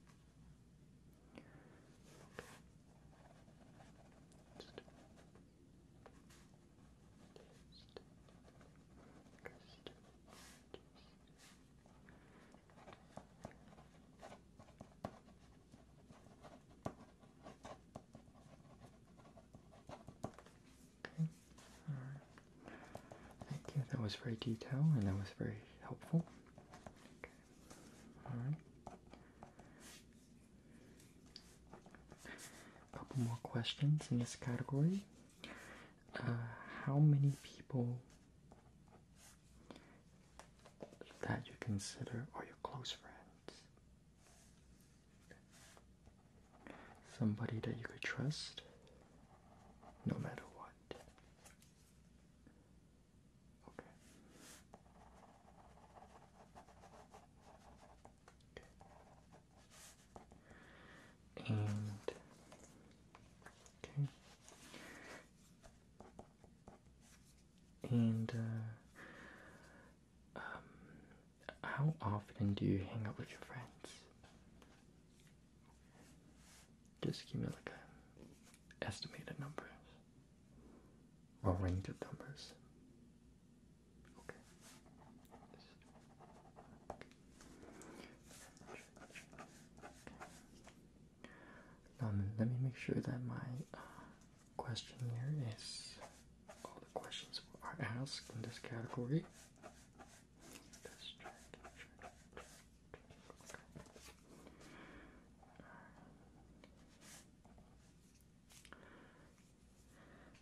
Speaker 1: Okay. All right. Thank you. That was very detailed and that was very helpful. Okay. All right. A couple more questions in this category. Uh, how many people that you consider are your close friends. Somebody that you could trust no matter what. Okay. okay. And uh, um, how often do you hang out with your friends? Just give me like a estimated numbers or range of numbers. Okay. let me make sure that my uh, question here is all the questions are asked in this category.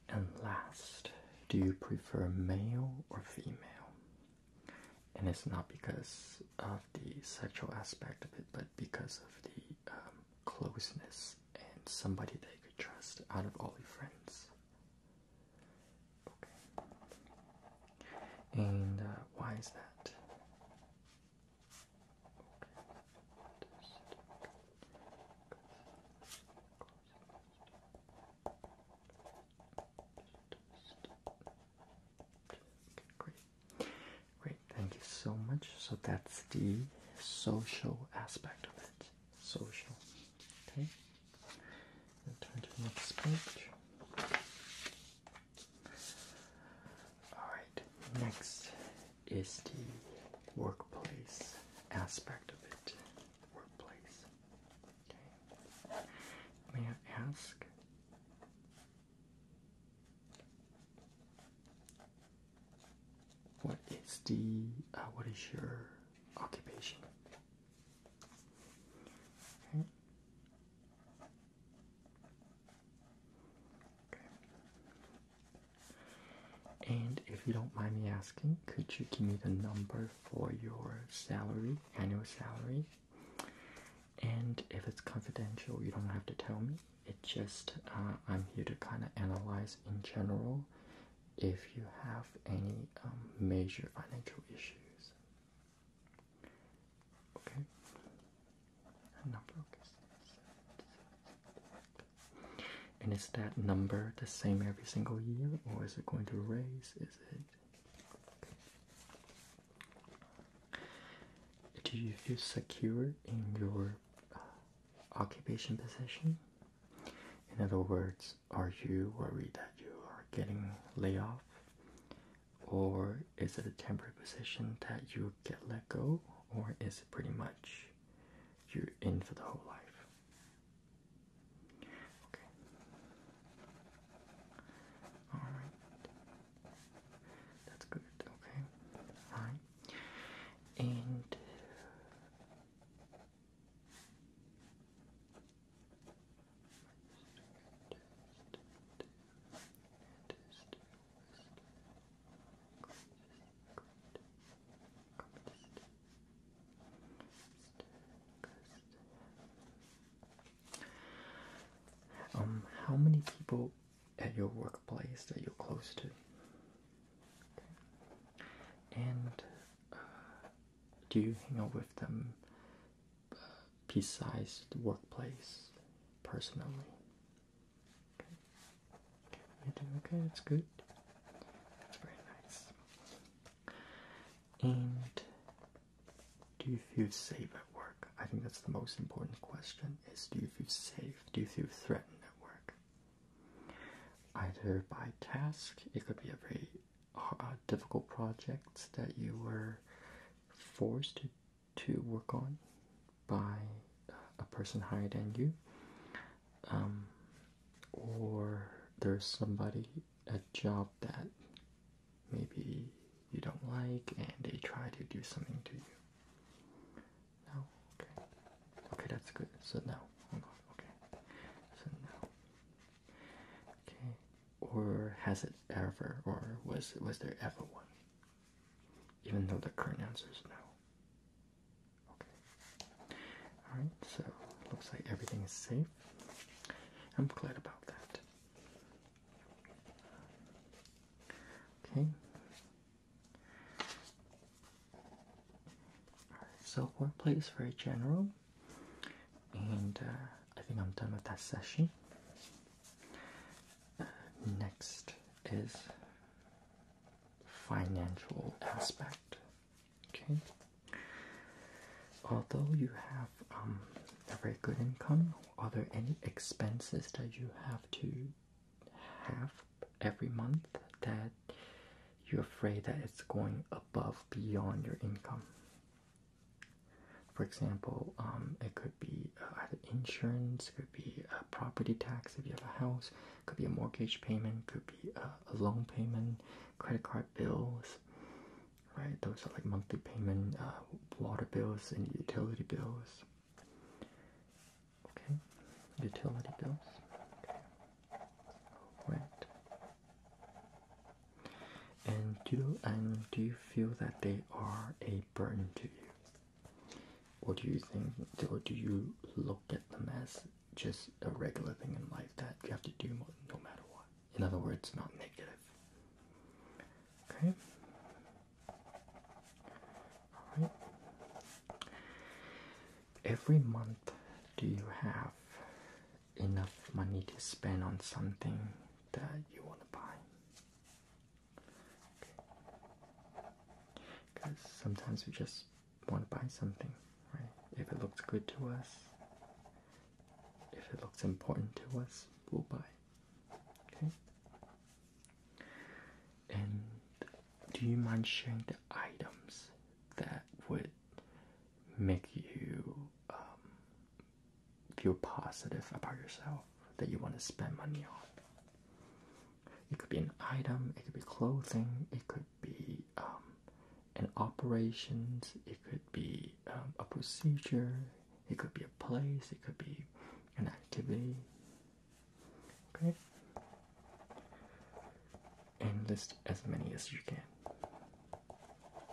Speaker 1: And last, do you prefer male or female? And it's not because of the sexual aspect of it, but because of the um, closeness and somebody they could trust out of all your friends. Okay. And uh, why is that? Great, thank you so much. So that's the social aspect of it. Social. Okay. turn to next page. Alright, next is the workplace aspect of it. Workplace. Okay. May I ask what is the uh, what is your occupation? Okay. okay. And if you don't mind me asking, could you give me the number for your salary, annual salary? And if it's confidential, you don't have to tell me it just uh, i'm here to kind of analyze in general if you have any um, major financial issues okay number okay. and is that number the same every single year or is it going to raise is it do you feel secure in your occupation position? In other words, are you worried that you are getting laid off? Or is it a temporary position that you get let go? Or is it pretty much you're in for the whole life? Okay. Alright. That's good, okay. Alright and um, how many people at your workplace that you're close to. And uh, do you hang out with them piece uh, besides workplace personally? Okay. okay, that's good. That's very nice. And do you feel safe at work? I think that's the most important question is do you feel safe do you feel threatened at work? Either by task, it could be a very uh, difficult project that you were forced to, to work on by uh, a person higher than you, um, or there's somebody, a job that maybe you don't like and they try to do something to you. No. Okay. Okay, that's good. So now, Okay. So now. Okay. Or has it ever, or was was there ever one? Even though the current answer is no. Okay. All right. So looks like everything is safe. I'm glad about that. Okay. So wordplay is very general, and uh, I think I'm done with that session. Uh, next is financial aspect. Okay. Although you have um, a very good income, are there any expenses that you have to half every month that you're afraid that it's going above beyond your income. For example, um, it could be uh, either insurance, it could be a property tax if you have a house, it could be a mortgage payment, could be a, loan payment, credit card bills, right? Those are like monthly payment, uh, water bills and utility bills. Okay, utility bills. Okay. Right. And do and do you feel that they are a burden to you, What do you think, or do you look at them as just a regular thing in life that you have to do no matter what? In other words, not negative. Okay. Every month, do you have enough money to spend on something that you want to buy? Because sometimes we just want to buy something, right? If it looks good to us, if it looks important to us, we'll buy. Okay. And do you mind sharing the items that would make you um, feel positive about yourself that you want to spend money on? It could be an item, it could be clothing, it could be um, an operations, it could be um, a procedure, it could be a place, it could be an activity. Okay? And list as many as you can.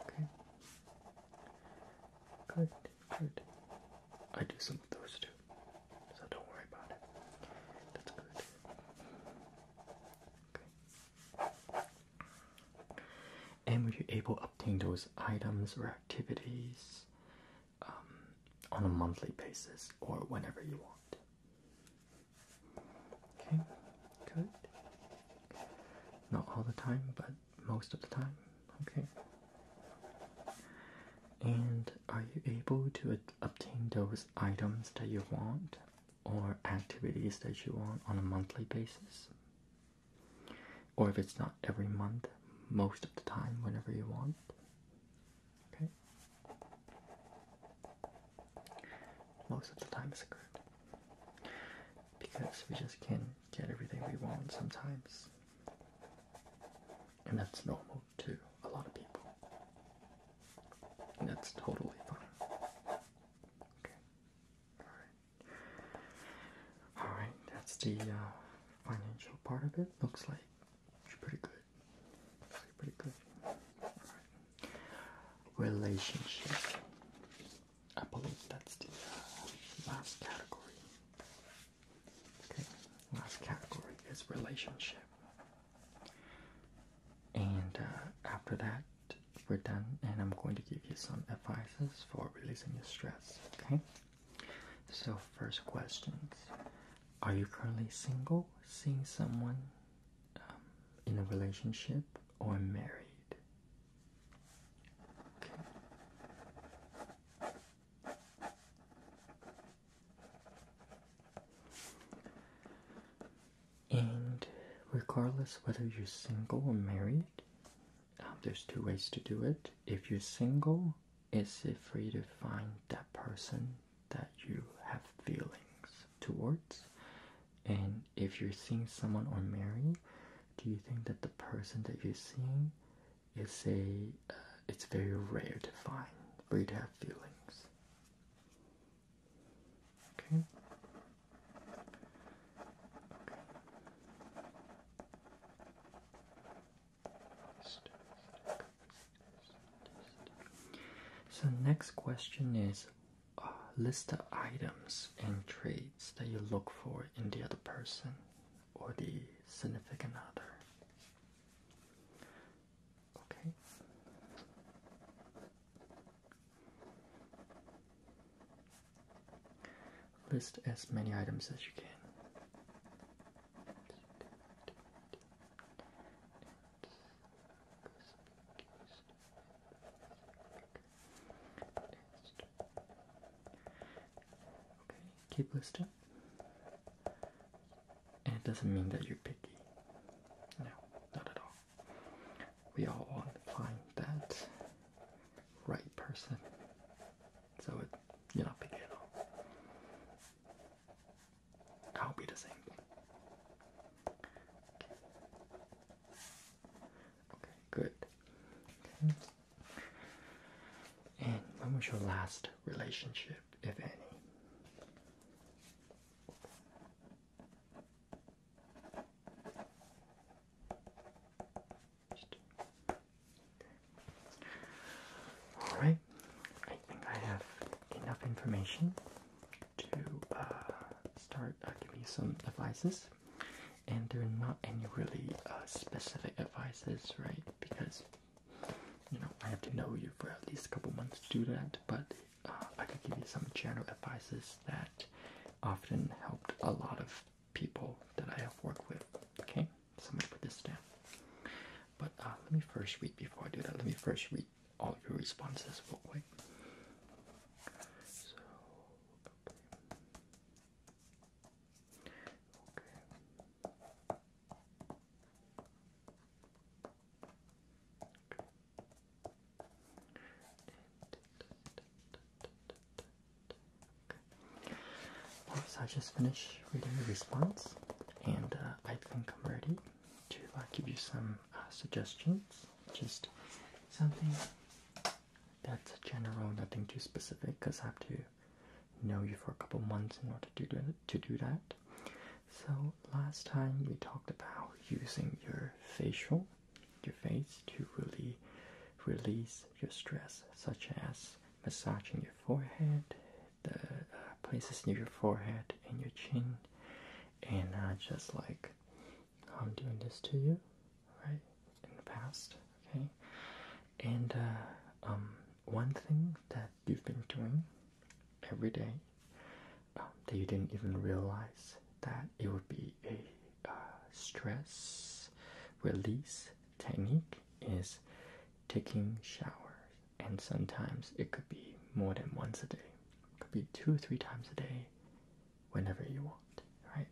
Speaker 1: Okay? Good, good. I do some of those too. So don't worry about it. That's good. Okay. And were you able to obtain those items or activities um, on a monthly basis or whenever you want. Okay, good. Not all the time, but most of the time. Okay. And are you able to obtain those items that you want or activities that you want on a monthly basis? Or if it's not every month, most of the time, whenever you want? Okay. Most of the time it's good. Because we just can't get everything we want sometimes. And that's normal to a lot of people. And that's totally fine. Okay. Alright. Alright, that's the uh, financial part of it. Looks like it's pretty good pretty good. Relationship. I believe that's the uh, last category. Okay, last category is relationship. And uh, after that, we're done, and I'm going to give you some advices for releasing your stress. Okay, so first questions are you currently single, seeing someone um, in a relationship, or married? And regardless whether you're single or married, um, there's two ways to do it. If you're single, it's free to find that person that you have feelings towards and if you're seeing someone or married do you think that the person that you're seeing is a uh, it's very rare to find for you to have feelings okay so next question is uh, list the items and traits that you look for in the other person or the significant other. Okay. List as many items as you can. Keep listing. And it doesn't mean that you're picky. No, not at all. We all want to find that right person. So it, you're not picky at all. I hope be the same. Okay. good. And when was your last relationship, if any? All right. I think I have enough information to uh, start uh, giving you some advices, and there are not any really uh, specific advices, right? Because you know I have to know you for at least a couple months to do that, but I can give you some general advices that often helped a lot of people that I have worked with. Okay, so I'm gonna put this down. But let me first read before I do that. Let me first read all your responses real quick. So, okay. Okay. okay. so I just finished reading the response, and uh, I think I'm ready to give you some uh, suggestions. Just something that's general, nothing too specific, because I have to know you for a couple months in order to to do that. So last time we talked about using your facial, your face, to really release your stress, such as massaging your forehead, the uh, places near your forehead and your chin, and just like I'm doing this to you, right, in the past, okay? And uh, um, one thing that you've been doing every day um, that you didn't even realize that it would be a uh, stress release technique is taking showers and sometimes it could be more than once a day. It could be two, three times a day, whenever you want, right?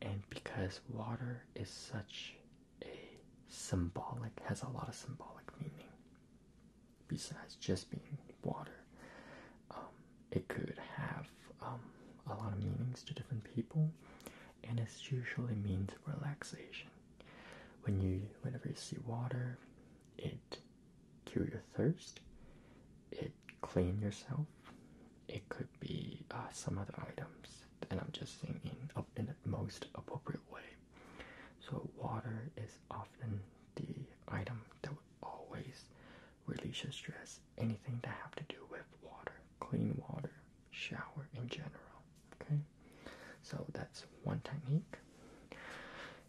Speaker 1: And because water is such a symbolic, has a lot of symbolic meaning, besides just being water, um, it could have um, a lot of meanings to different people, and it usually means relaxation. When you, whenever you see water, it cure your thirst, it clean yourself, it could be uh, some other items, and I'm just saying in, in the most appropriate way. So water is often the item that would always release your stress. Anything to have to do with water, clean water, shower in general. Okay, so that's one technique.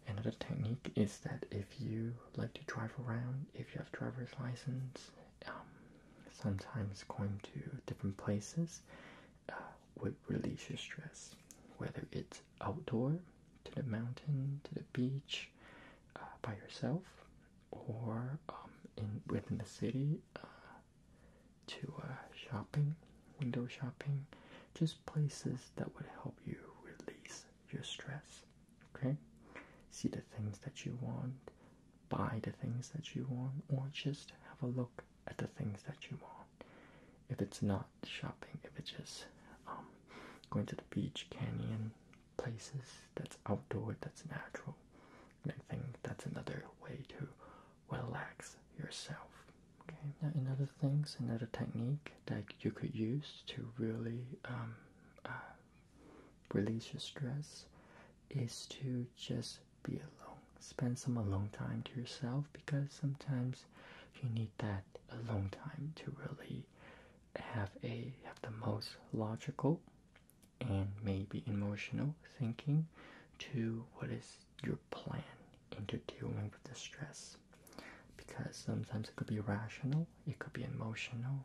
Speaker 1: Another technique is that if you like to drive around, if you have driver's license, um, sometimes going to different places uh, would release your stress. Whether it's outdoor, to the mountain, to the beach, uh, by yourself, or um, in within the city, uh, to shopping window shopping, just places that would help you release your stress. Okay? See the things that you want, buy the things that you want, or just have a look at the things that you want. If it's not shopping, if it's just um, going to the beach, canyon, places that's outdoor, that's natural. I think that's another way to relax yourself. Okay, now another things, another technique that you could use to really um, uh, release your stress is to just be alone. Spend some alone time to yourself because sometimes you need that alone time to really have a have the most logical and maybe emotional thinking to what is your plan into dealing with the stress because sometimes it could be rational, it could be emotional,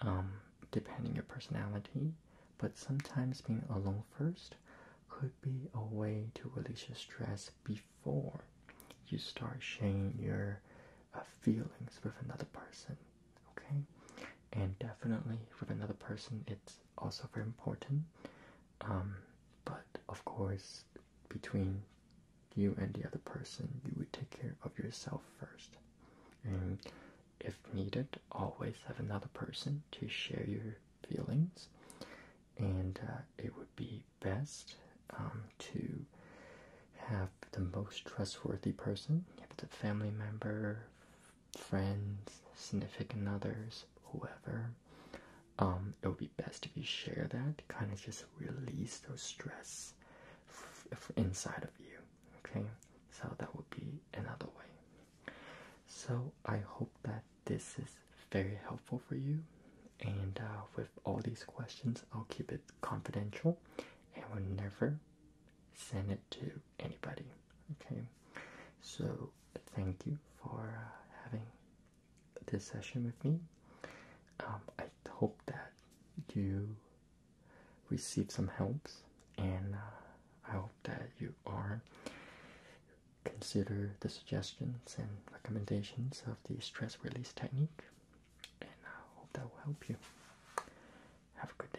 Speaker 1: um, depending your personality. But sometimes being alone first could be a way to release your stress before you start sharing your uh, feelings with another person. Okay, and definitely with another person, it's also very important. Um, but of course, between you and the other person, you would take care of yourself first. And if needed, always have another person to share your feelings. And uh, it would be best um, to have the most trustworthy person, if it's a family member, friends, significant others, whoever, um, it would be best if you share that kind of just release those stress inside of you. Okay, so that would be another way. So I hope that this is very helpful for you. And uh, with all these questions, I'll keep it confidential and will never send it to anybody. Okay, so thank you for uh, having this session with me. Um, I hope that you receive some helps, and uh, I hope that you are consider the suggestions and recommendations of the stress release technique, and I hope that will help you. Have a good day.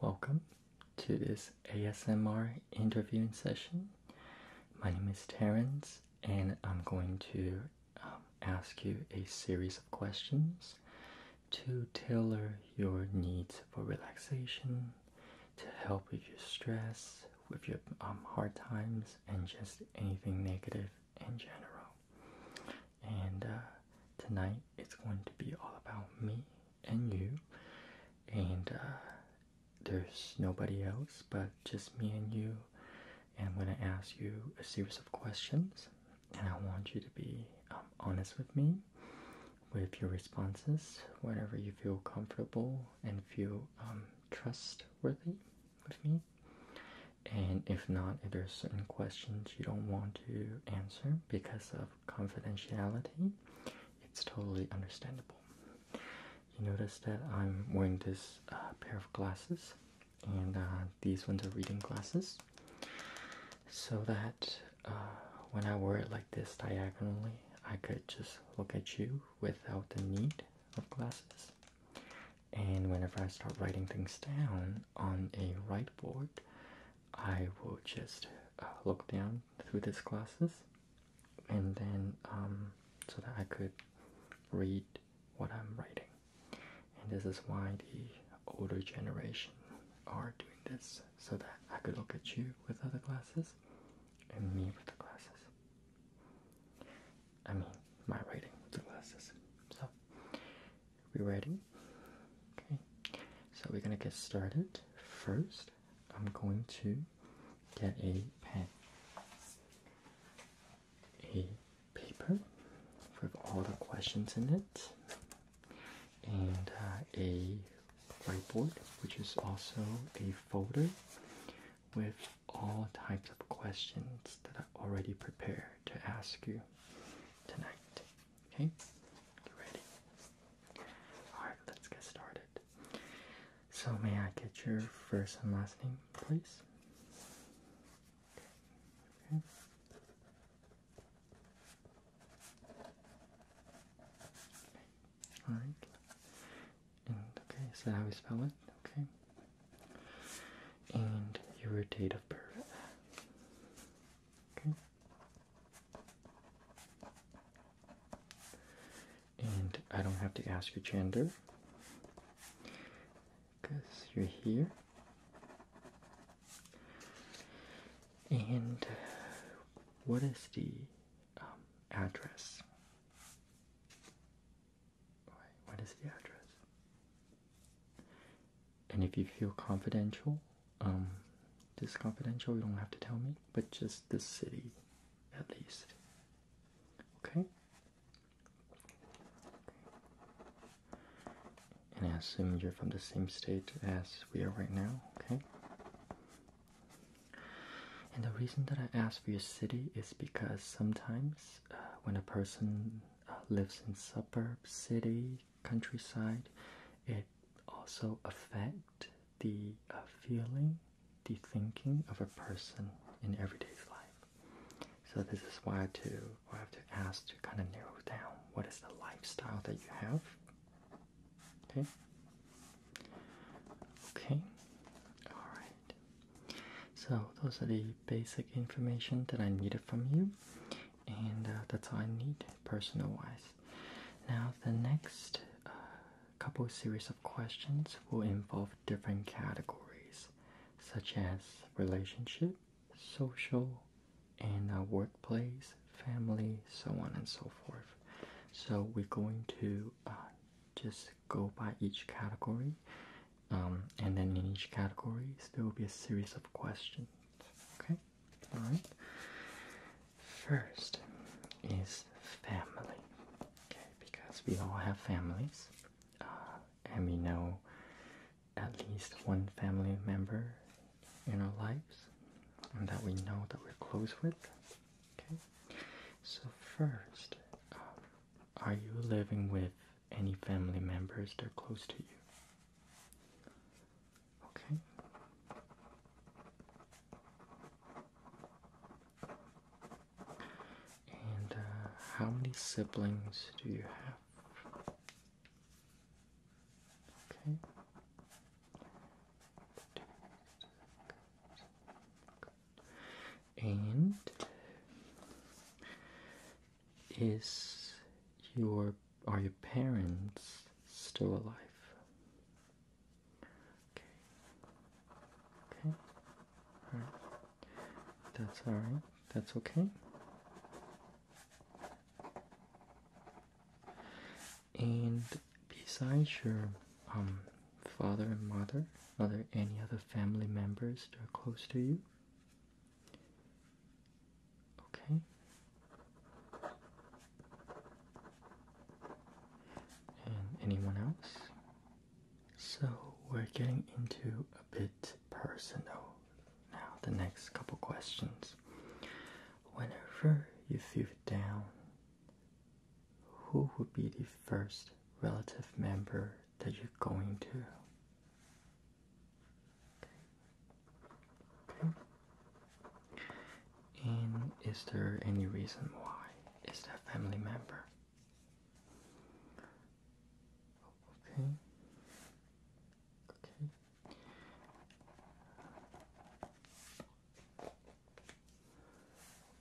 Speaker 1: Welcome to this ASMR interviewing session. My name is Terrence, and I'm going to um, ask you a series of questions to tailor your needs for relaxation, to help with your stress, with your um, hard times and just anything negative in general. And uh, tonight it's going to be all about me and you, and uh, there's nobody else but just me and you. And I'm going to ask you a series of questions, and I want you to be um, honest with me with your responses whenever you feel comfortable and feel um, trustworthy with me. And if not, if there's certain questions you don't want to answer because of confidentiality, it's totally understandable. You notice that I'm wearing this uh, pair of glasses, and uh, these ones are reading glasses, so that uh, when I wear it like this diagonally, I could just look at you without the need of glasses and whenever I start writing things down on a whiteboard, I will just uh, look down through these glasses, and then um, so that I could read what I'm writing. And this is why the older generation are doing this so that I could look at you with other glasses and me with the glasses. I mean, my writing with glasses. So, we ready? Okay. So we're gonna get started. First, I'm going to get a pen, a paper with all the questions in it, and uh, a whiteboard, which is also a folder with all types of questions that I already prepared to ask you tonight. Okay? Get ready. Alright, let's get started. So, may I get your first and last name, please? Alright okay, is that how we spell it? Okay. And your date of birth. Okay. And I don't have to ask your gender because you're here. And what is the um, address? What is the address? And if you feel confidential, um, this you don't have to tell me, but just the city, at least. okay. And I assume you're from the same state as we are right now. Okay. And the reason that I ask for your city is because sometimes uh, when a person uh, lives in suburb, city, countryside, it also affect the uh, feeling, the thinking of a person in everyday life. So this is why I I have to ask to kind of narrow down what is the lifestyle that you have. Okay. Okay. All right. So those are the basic information that I needed from you, and uh, that's all I need personal-wise. Now the next uh, couple series of questions will involve different categories, such as relationship, social, and uh, workplace, family, so on and so forth. So we're going to just go by each category um, and then in each category, there will be a series of questions. Okay? Alright? First is family. Okay, because we all have families. Uh, and we know at least one family member in our lives and that we know that we're close with. Okay? So, first, um, are you living with any family members they are close to you. Okay. And uh, how many siblings do you have? Okay and is your are your parents still alive? Okay. Okay. That's all right. That's okay. And besides your um father and mother, are there any other family members that are close to you? Okay. And anyone else? So we're getting into a bit personal now, the next couple questions. Whenever you feel down, who would be the first relative member that you're going to. And is there any reason why? Is that family member? Okay. Okay.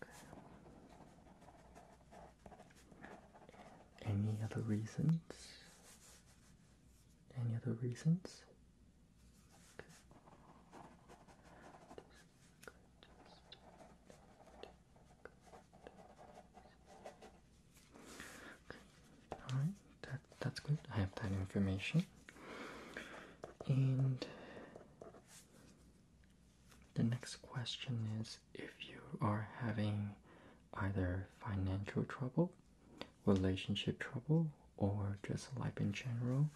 Speaker 1: Okay. Any other reasons? Any other reasons? Okay. All right, that that's good. I have that information. And the next question is if you are having either financial trouble, relationship trouble, or just life in general,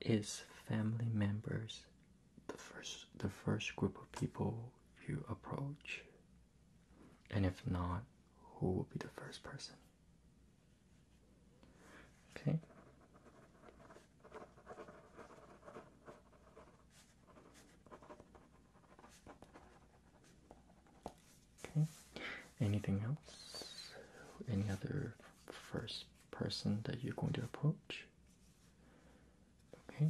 Speaker 1: is family members the first the first group of people you approach? And if not, who will be the first person? Okay. Okay. Anything else? Any other first person that you're going to approach? Okay.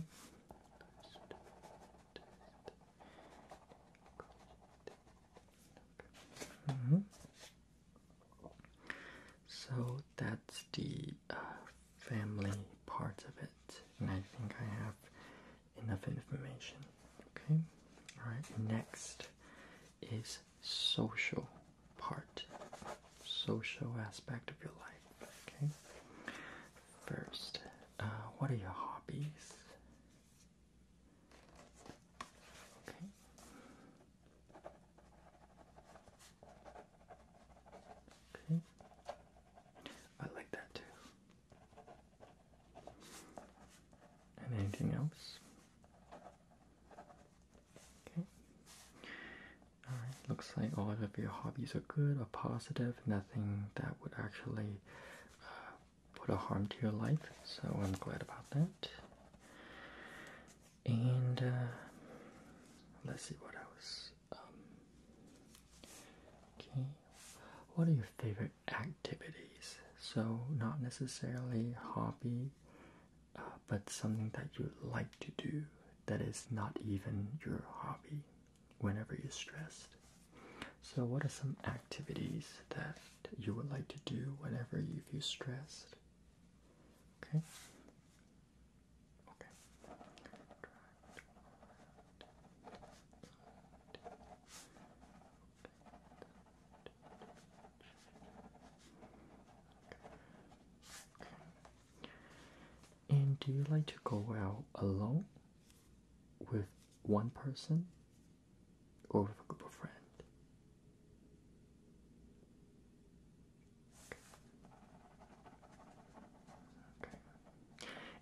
Speaker 1: Mm-hmm. So that's the family part of it, and I think I have enough information. Okay, all right. Next is social part, social aspect of your life. Okay. First, uh, what are your hobbies? Okay. I like that too. And anything else? Okay. Alright, looks like all of your hobbies are good or positive, nothing that would actually uh, put a harm to your life, so I'm glad about that. And uh, let's see what else. Um, okay. What are your favorite activities? So, not necessarily hobby, uh, but something that you like to do that is not even your hobby whenever you're stressed. So, what are some activities that you would like to do whenever you feel stressed? Okay. And do you like to go out alone with one person or with a group of friends?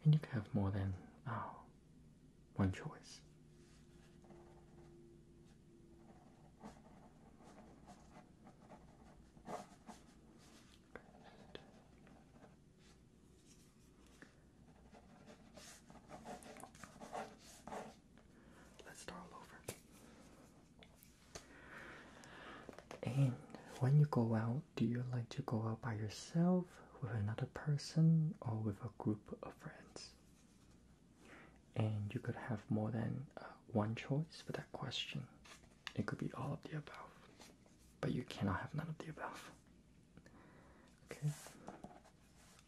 Speaker 1: and you can have more than oh, one choice. Let's start all over. And when you go out, do you like to go out by yourself, with another person, or with a group of friends? And you could have more than uh, one choice for that question. It could be all of the above, but you cannot have none of the above. Okay.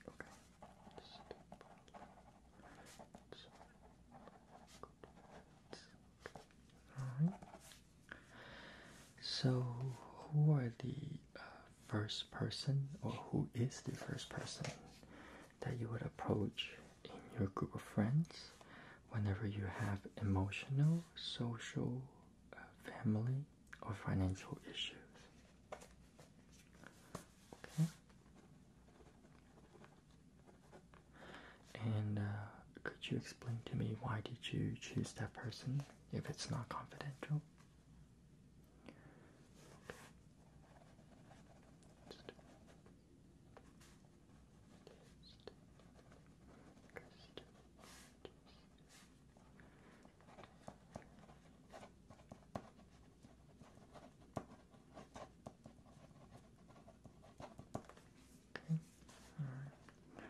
Speaker 1: Okay. All right. So, who are the uh, first person, or who is the first person that you would approach in your group of friends whenever you have emotional, social, uh, family, or financial issues? Okay. And uh, could you explain to me why did you choose that person if it's not confidential. Okay. All right.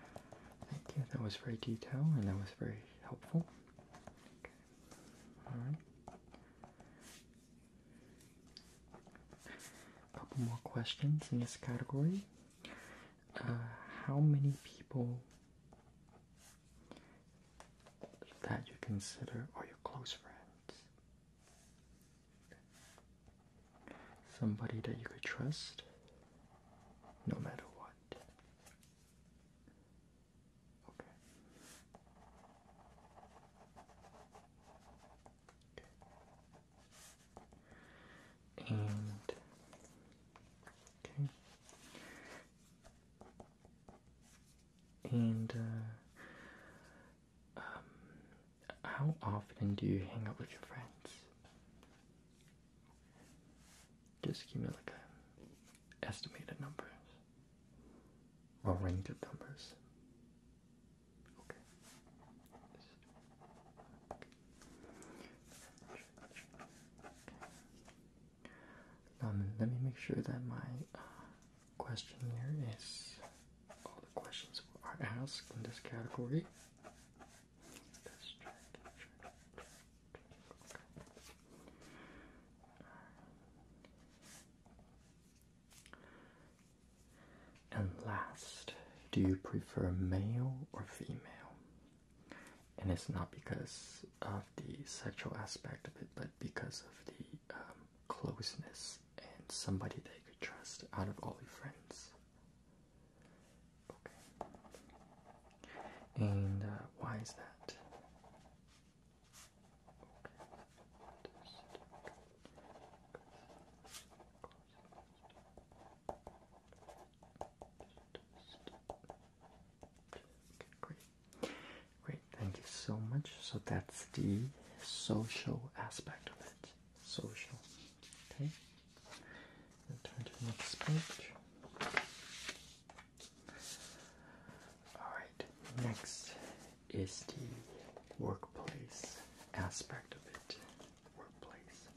Speaker 1: Thank you. That was very detailed and that was very helpful. Okay. All right. A couple more questions in this category. Uh, how many people that you consider are your close friends? Somebody that you could trust no matter what. Okay. okay. And okay. And uh, um, how often do you hang out with your friends? Just give me like a estimated numbers or range of numbers. Okay. Um, let me make sure that my uh, questionnaire is all the questions are asked in this category. And last, do you prefer male or female? And it's not because of the sexual aspect of it, but because of the um, closeness and somebody they could trust out of all your friends. And uh, why is that? great. Great, thank you so much. So that's the social aspect of it. Social. Okay next Alright, next is the workplace aspect of it. Workplace.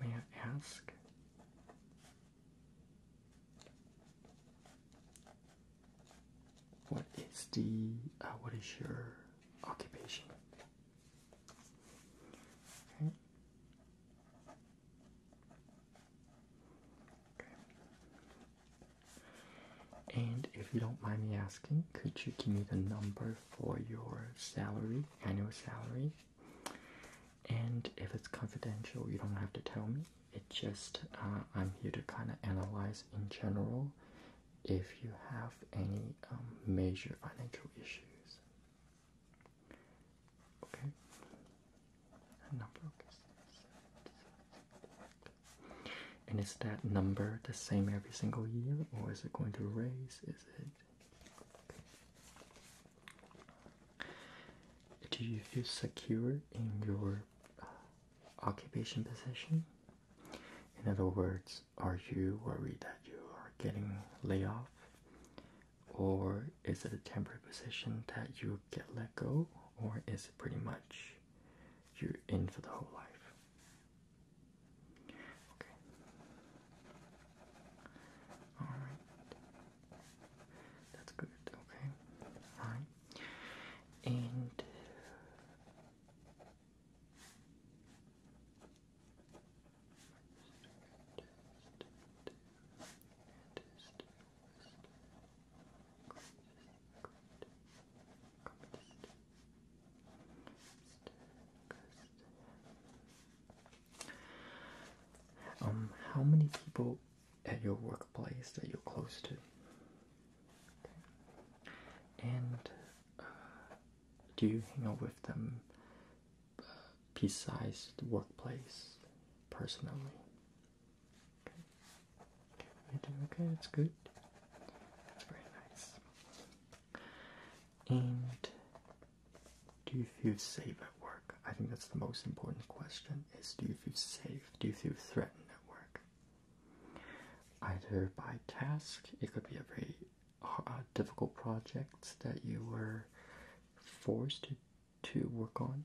Speaker 1: May I ask? What is the uh, what is your occupation? Okay. okay. And if you don't mind me asking, could you give me the number for your salary, annual salary? And if it's confidential, you don't have to tell me. It just uh, I'm here to kind of analyze in general if you have any um, major financial issues. Okay. Number And is that number the same every single year, or is it going to raise? Is it? Do you feel secure in your uh, occupation position? In other words, are you worried that you are getting laid off? Or is it a temporary position that you get let go? Or is it pretty much you're in for the whole life? Okay. Alright. That's good, okay? Alright. And um, how many people at your workplace that you're close to? And uh, do you hang out with them pea-sized workplace personally. Okay. that's good. That's very nice. And do you feel safe at work? I think that's the most important question is do you feel safe? Do you feel threatened at work? Either by task, it could be a very uh, difficult projects that you were forced to, work on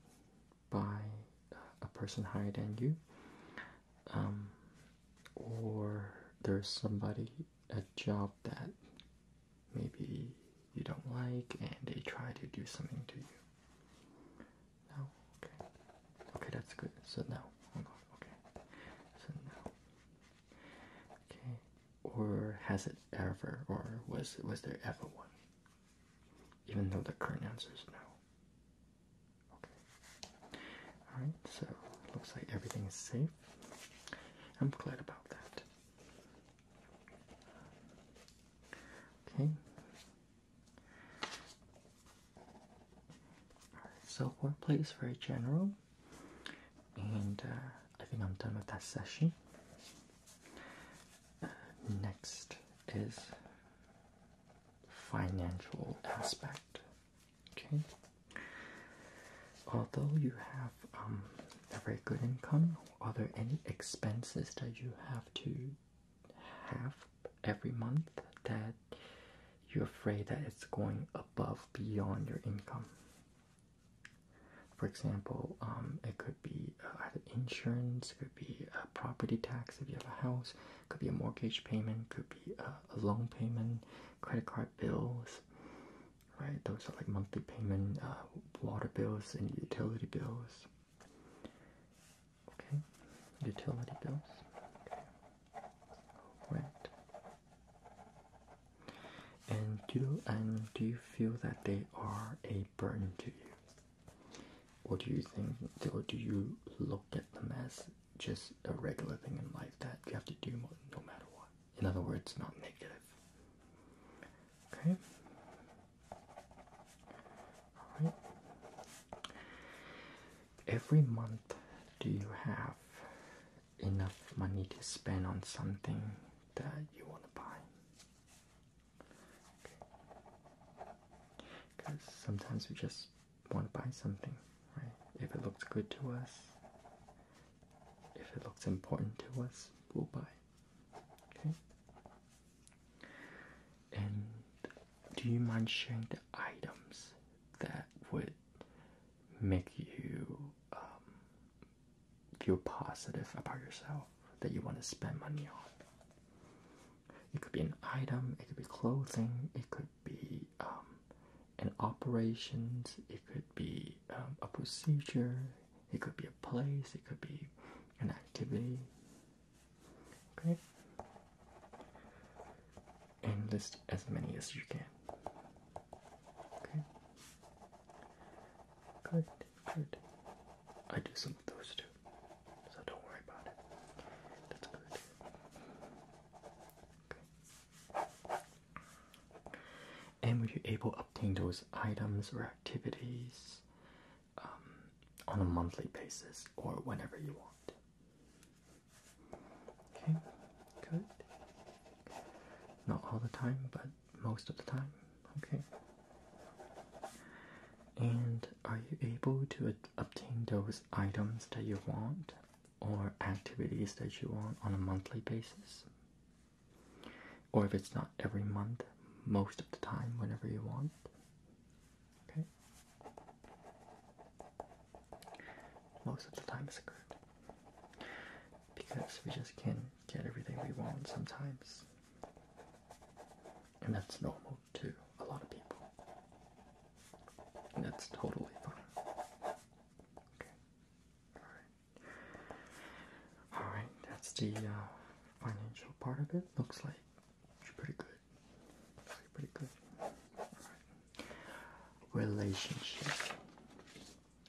Speaker 1: by uh, a person higher than you, um, or there's somebody a job that maybe you don't like and they try to do something to you. No, okay, okay, that's good. So now, okay, so now. Okay. Or has it ever, or was was there ever one? Even though the current answer is no. Okay. Alright, so looks like everything is safe. I'm glad about that. Okay. so workplace very general and uh, I think I'm done with that session. Uh, next is financial aspect. Okay. Although you have um, a very good income, are there any expenses that you have to have every month that you're afraid that it's going above beyond your income? For example, um, it could be uh, either insurance, it could be a property tax if you have a house, it could be a mortgage payment, could be uh, a loan payment, credit card bills, right? Those are like monthly payment, uh, water bills and utility bills. Okay, utility bills. Okay. Rent. And do you, and do you feel that they are a burden to you? What do you think, or do you look at them as just a regular thing in life that you have to do no matter what? In other words, not negative. Okay? Alright. Every month, do you have enough money to spend on something that you want to buy. Because sometimes we just want to buy something, right? If it looks good to us, if it looks important to us, we'll buy. Okay? And do you mind sharing the items that would make you um, feel positive about yourself that you want to spend money on. It could be an item, it could be clothing, it could be um, an operations, it could be um, a procedure, it could be a place, it could be an activity. Okay? And list as many as you can. Okay. Good, good. I do some of those too, so don't worry about it. That's good. Okay. And were you able to obtain those items or activities um, on a monthly basis or whenever you want? Okay, good. Not all the time, but most of the time. Okay. And are you able to obtain those items that you want or activities that you want on a monthly basis? Or if it's not every month, most of the time, whenever you want? Okay. Most of the time is good because we just can't get everything we want sometimes. And that's normal to a lot of people. And that's totally fine. Okay. Alright. Alright, that's the uh, financial part of it. Looks like pretty good. pretty good. All right. Relationship.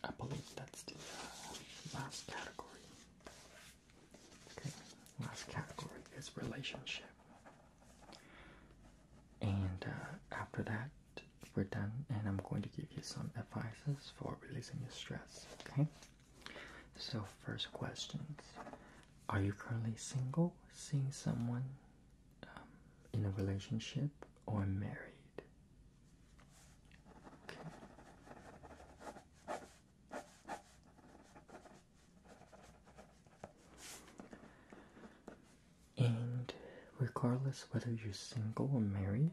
Speaker 1: I believe that's the uh, last category. Okay, last category is relationship. And uh, after that, we're done, and I'm going to give you some advices for releasing your stress. Okay, so first questions Are you currently single, seeing someone um, in a relationship, or married? And regardless whether you're single or married,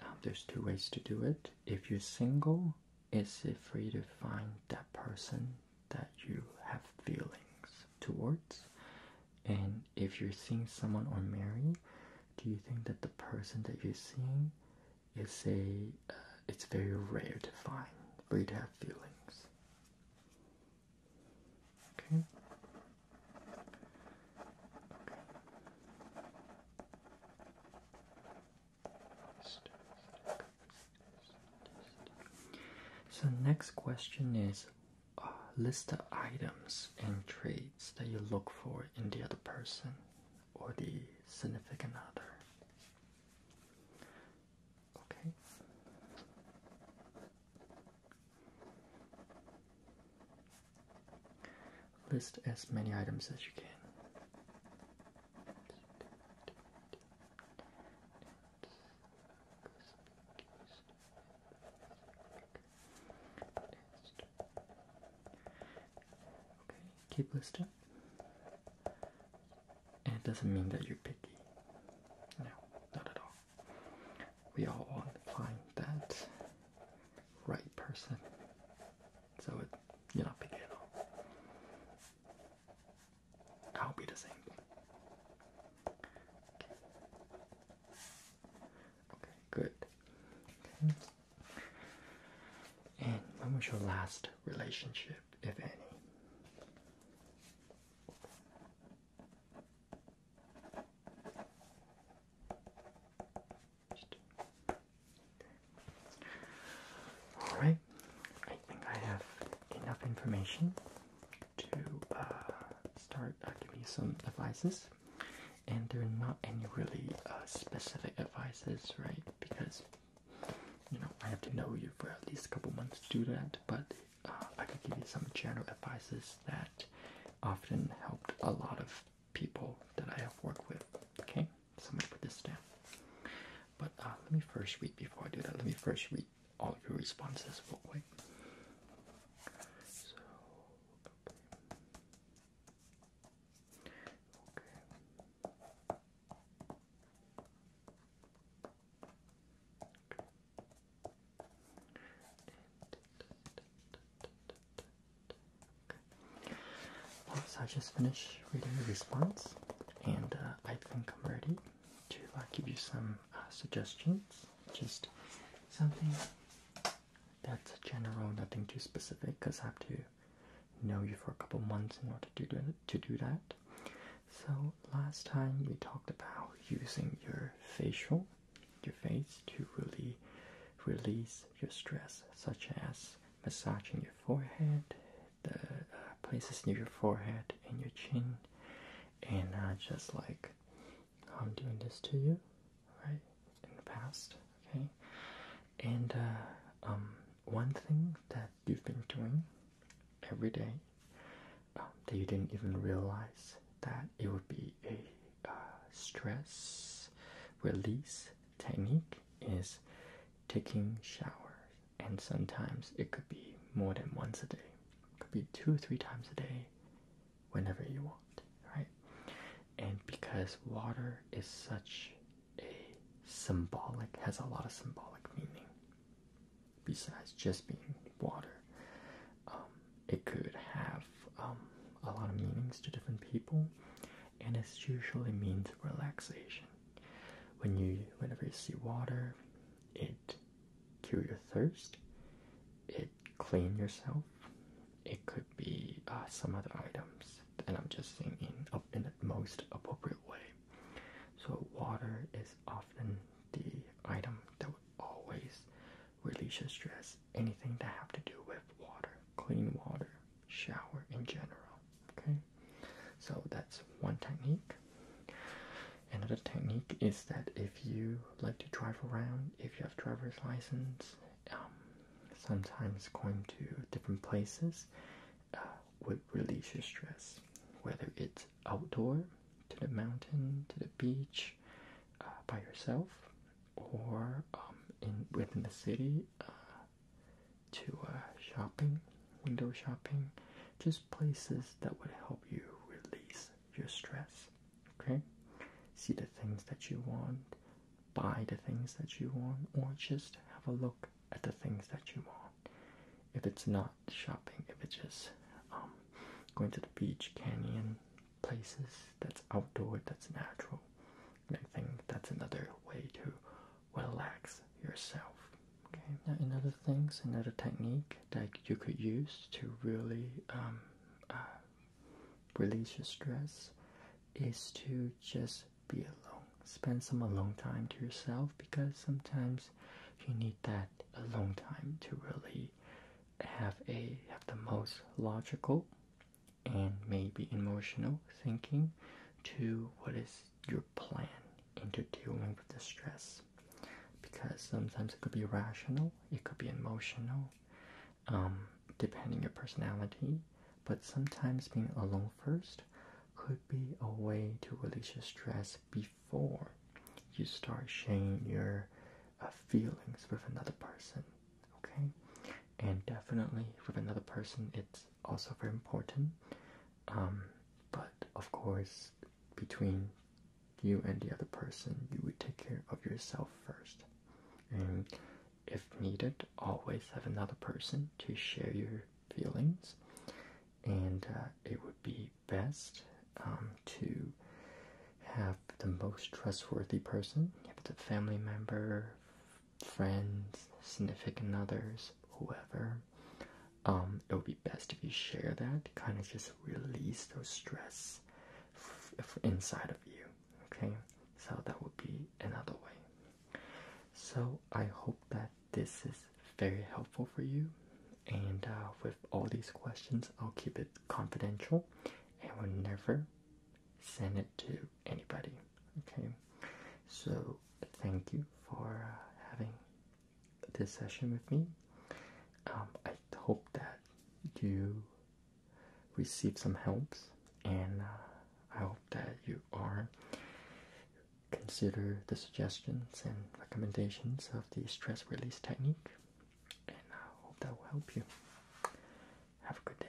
Speaker 1: um, there's two ways to do it. If you're single, it's for you to find that person that you have feelings towards. And if you're seeing someone or married, do you think that the person that you're seeing is a uh, it's very rare to find for you to have feelings okay so next question is uh, list the items and traits that you look for in the other person or the significant other. Okay. List as many items as you can. Okay, keep listing. And it doesn't mean that you're picky. No, not at all. We all want to find that right person. So it, you're not picky at all. I'll be the same. Okay, good. And when was your last relationship, if any? All right, I think I have enough information to uh, start uh, giving you some advices and there are not any really uh, specific advices, right? Because you know I have to know you for at least a couple months to do that, but uh, I could give you some general advices that often helped a lot of people that I have worked with. Okay, so I'm gonna put this down. But uh, let me first read before I do that. Let me first read all your responses real quick. So. Okay so I just finished reading the response, and uh, I think I'm ready to uh, give you some uh, suggestions. Just something that's general, nothing too specific, because I have to know you for a couple months in order to do, to do that. So last time we talked about using your facial, your face, to really release your stress, such as massaging your forehead, the uh, places near your forehead and your chin, and just like I'm doing this to you, right? in the past, okay? And uh, um, one thing that you've been doing every day um, that you didn't even realize that it would be a uh, stress release technique is taking showers, and sometimes it could be more than once a day, could be two, or three times a day, whenever you want, right? And because water is such a symbolic has a lot of symbolic meaning besides just being water um, it could have um, a lot of meanings to different people and it usually means relaxation when you whenever you see water it cure your thirst it clean yourself it could be uh, some other items, and I'm just thinking up in the most appropriate way. So water is often the item that would always release your stress. Anything to have to do with water, clean water, shower in general. Okay, so that's one technique. Another technique is that if you like to drive around, if you have driver's license, um, sometimes going to different places uh, would release your stress, whether it's outdoor, to the mountain, to the beach, uh, by yourself, or um, in within the city, uh, to shopping, window shopping, just places that would help you release your stress. Okay, see the things that you want, buy the things that you want or just have a look at the things that you want. If it's not shopping, if it's just um, going to the beach, canyon, places that's outdoor, that's natural. I think that's another way to relax yourself. Okay. Now, another things, another technique that you could use to really um, uh, release your stress is to just just be alone. Spend some alone time to yourself because sometimes you need that alone time to really have a have the most logical and maybe emotional thinking to what is your plan into dealing with the stress because sometimes it could be rational it could be emotional um, depending your personality but sometimes being alone first could be a way to release your stress before you start sharing your uh, feelings with another person. Okay, and definitely with another person, it's also very important. Um, but of course, between you and the other person, you would take care of yourself first. And if needed, always have another person to share your feelings, and uh, it would be best um, to have the most trustworthy person, if it's a family member, friends, significant others, whoever. Um, it would be best if you share that, kind of just release those stress inside of you. Okay, so that would be another way. So I hope that this is very helpful for you. And uh, with all these questions, I'll keep it confidential and will never send it to anybody. Okay. So thank you for uh, having this session with me. Um, I hope that you receive some helps and. Uh, I hope that you are consider the suggestions and recommendations of the stress release technique, and I hope that will help you. Have a good day.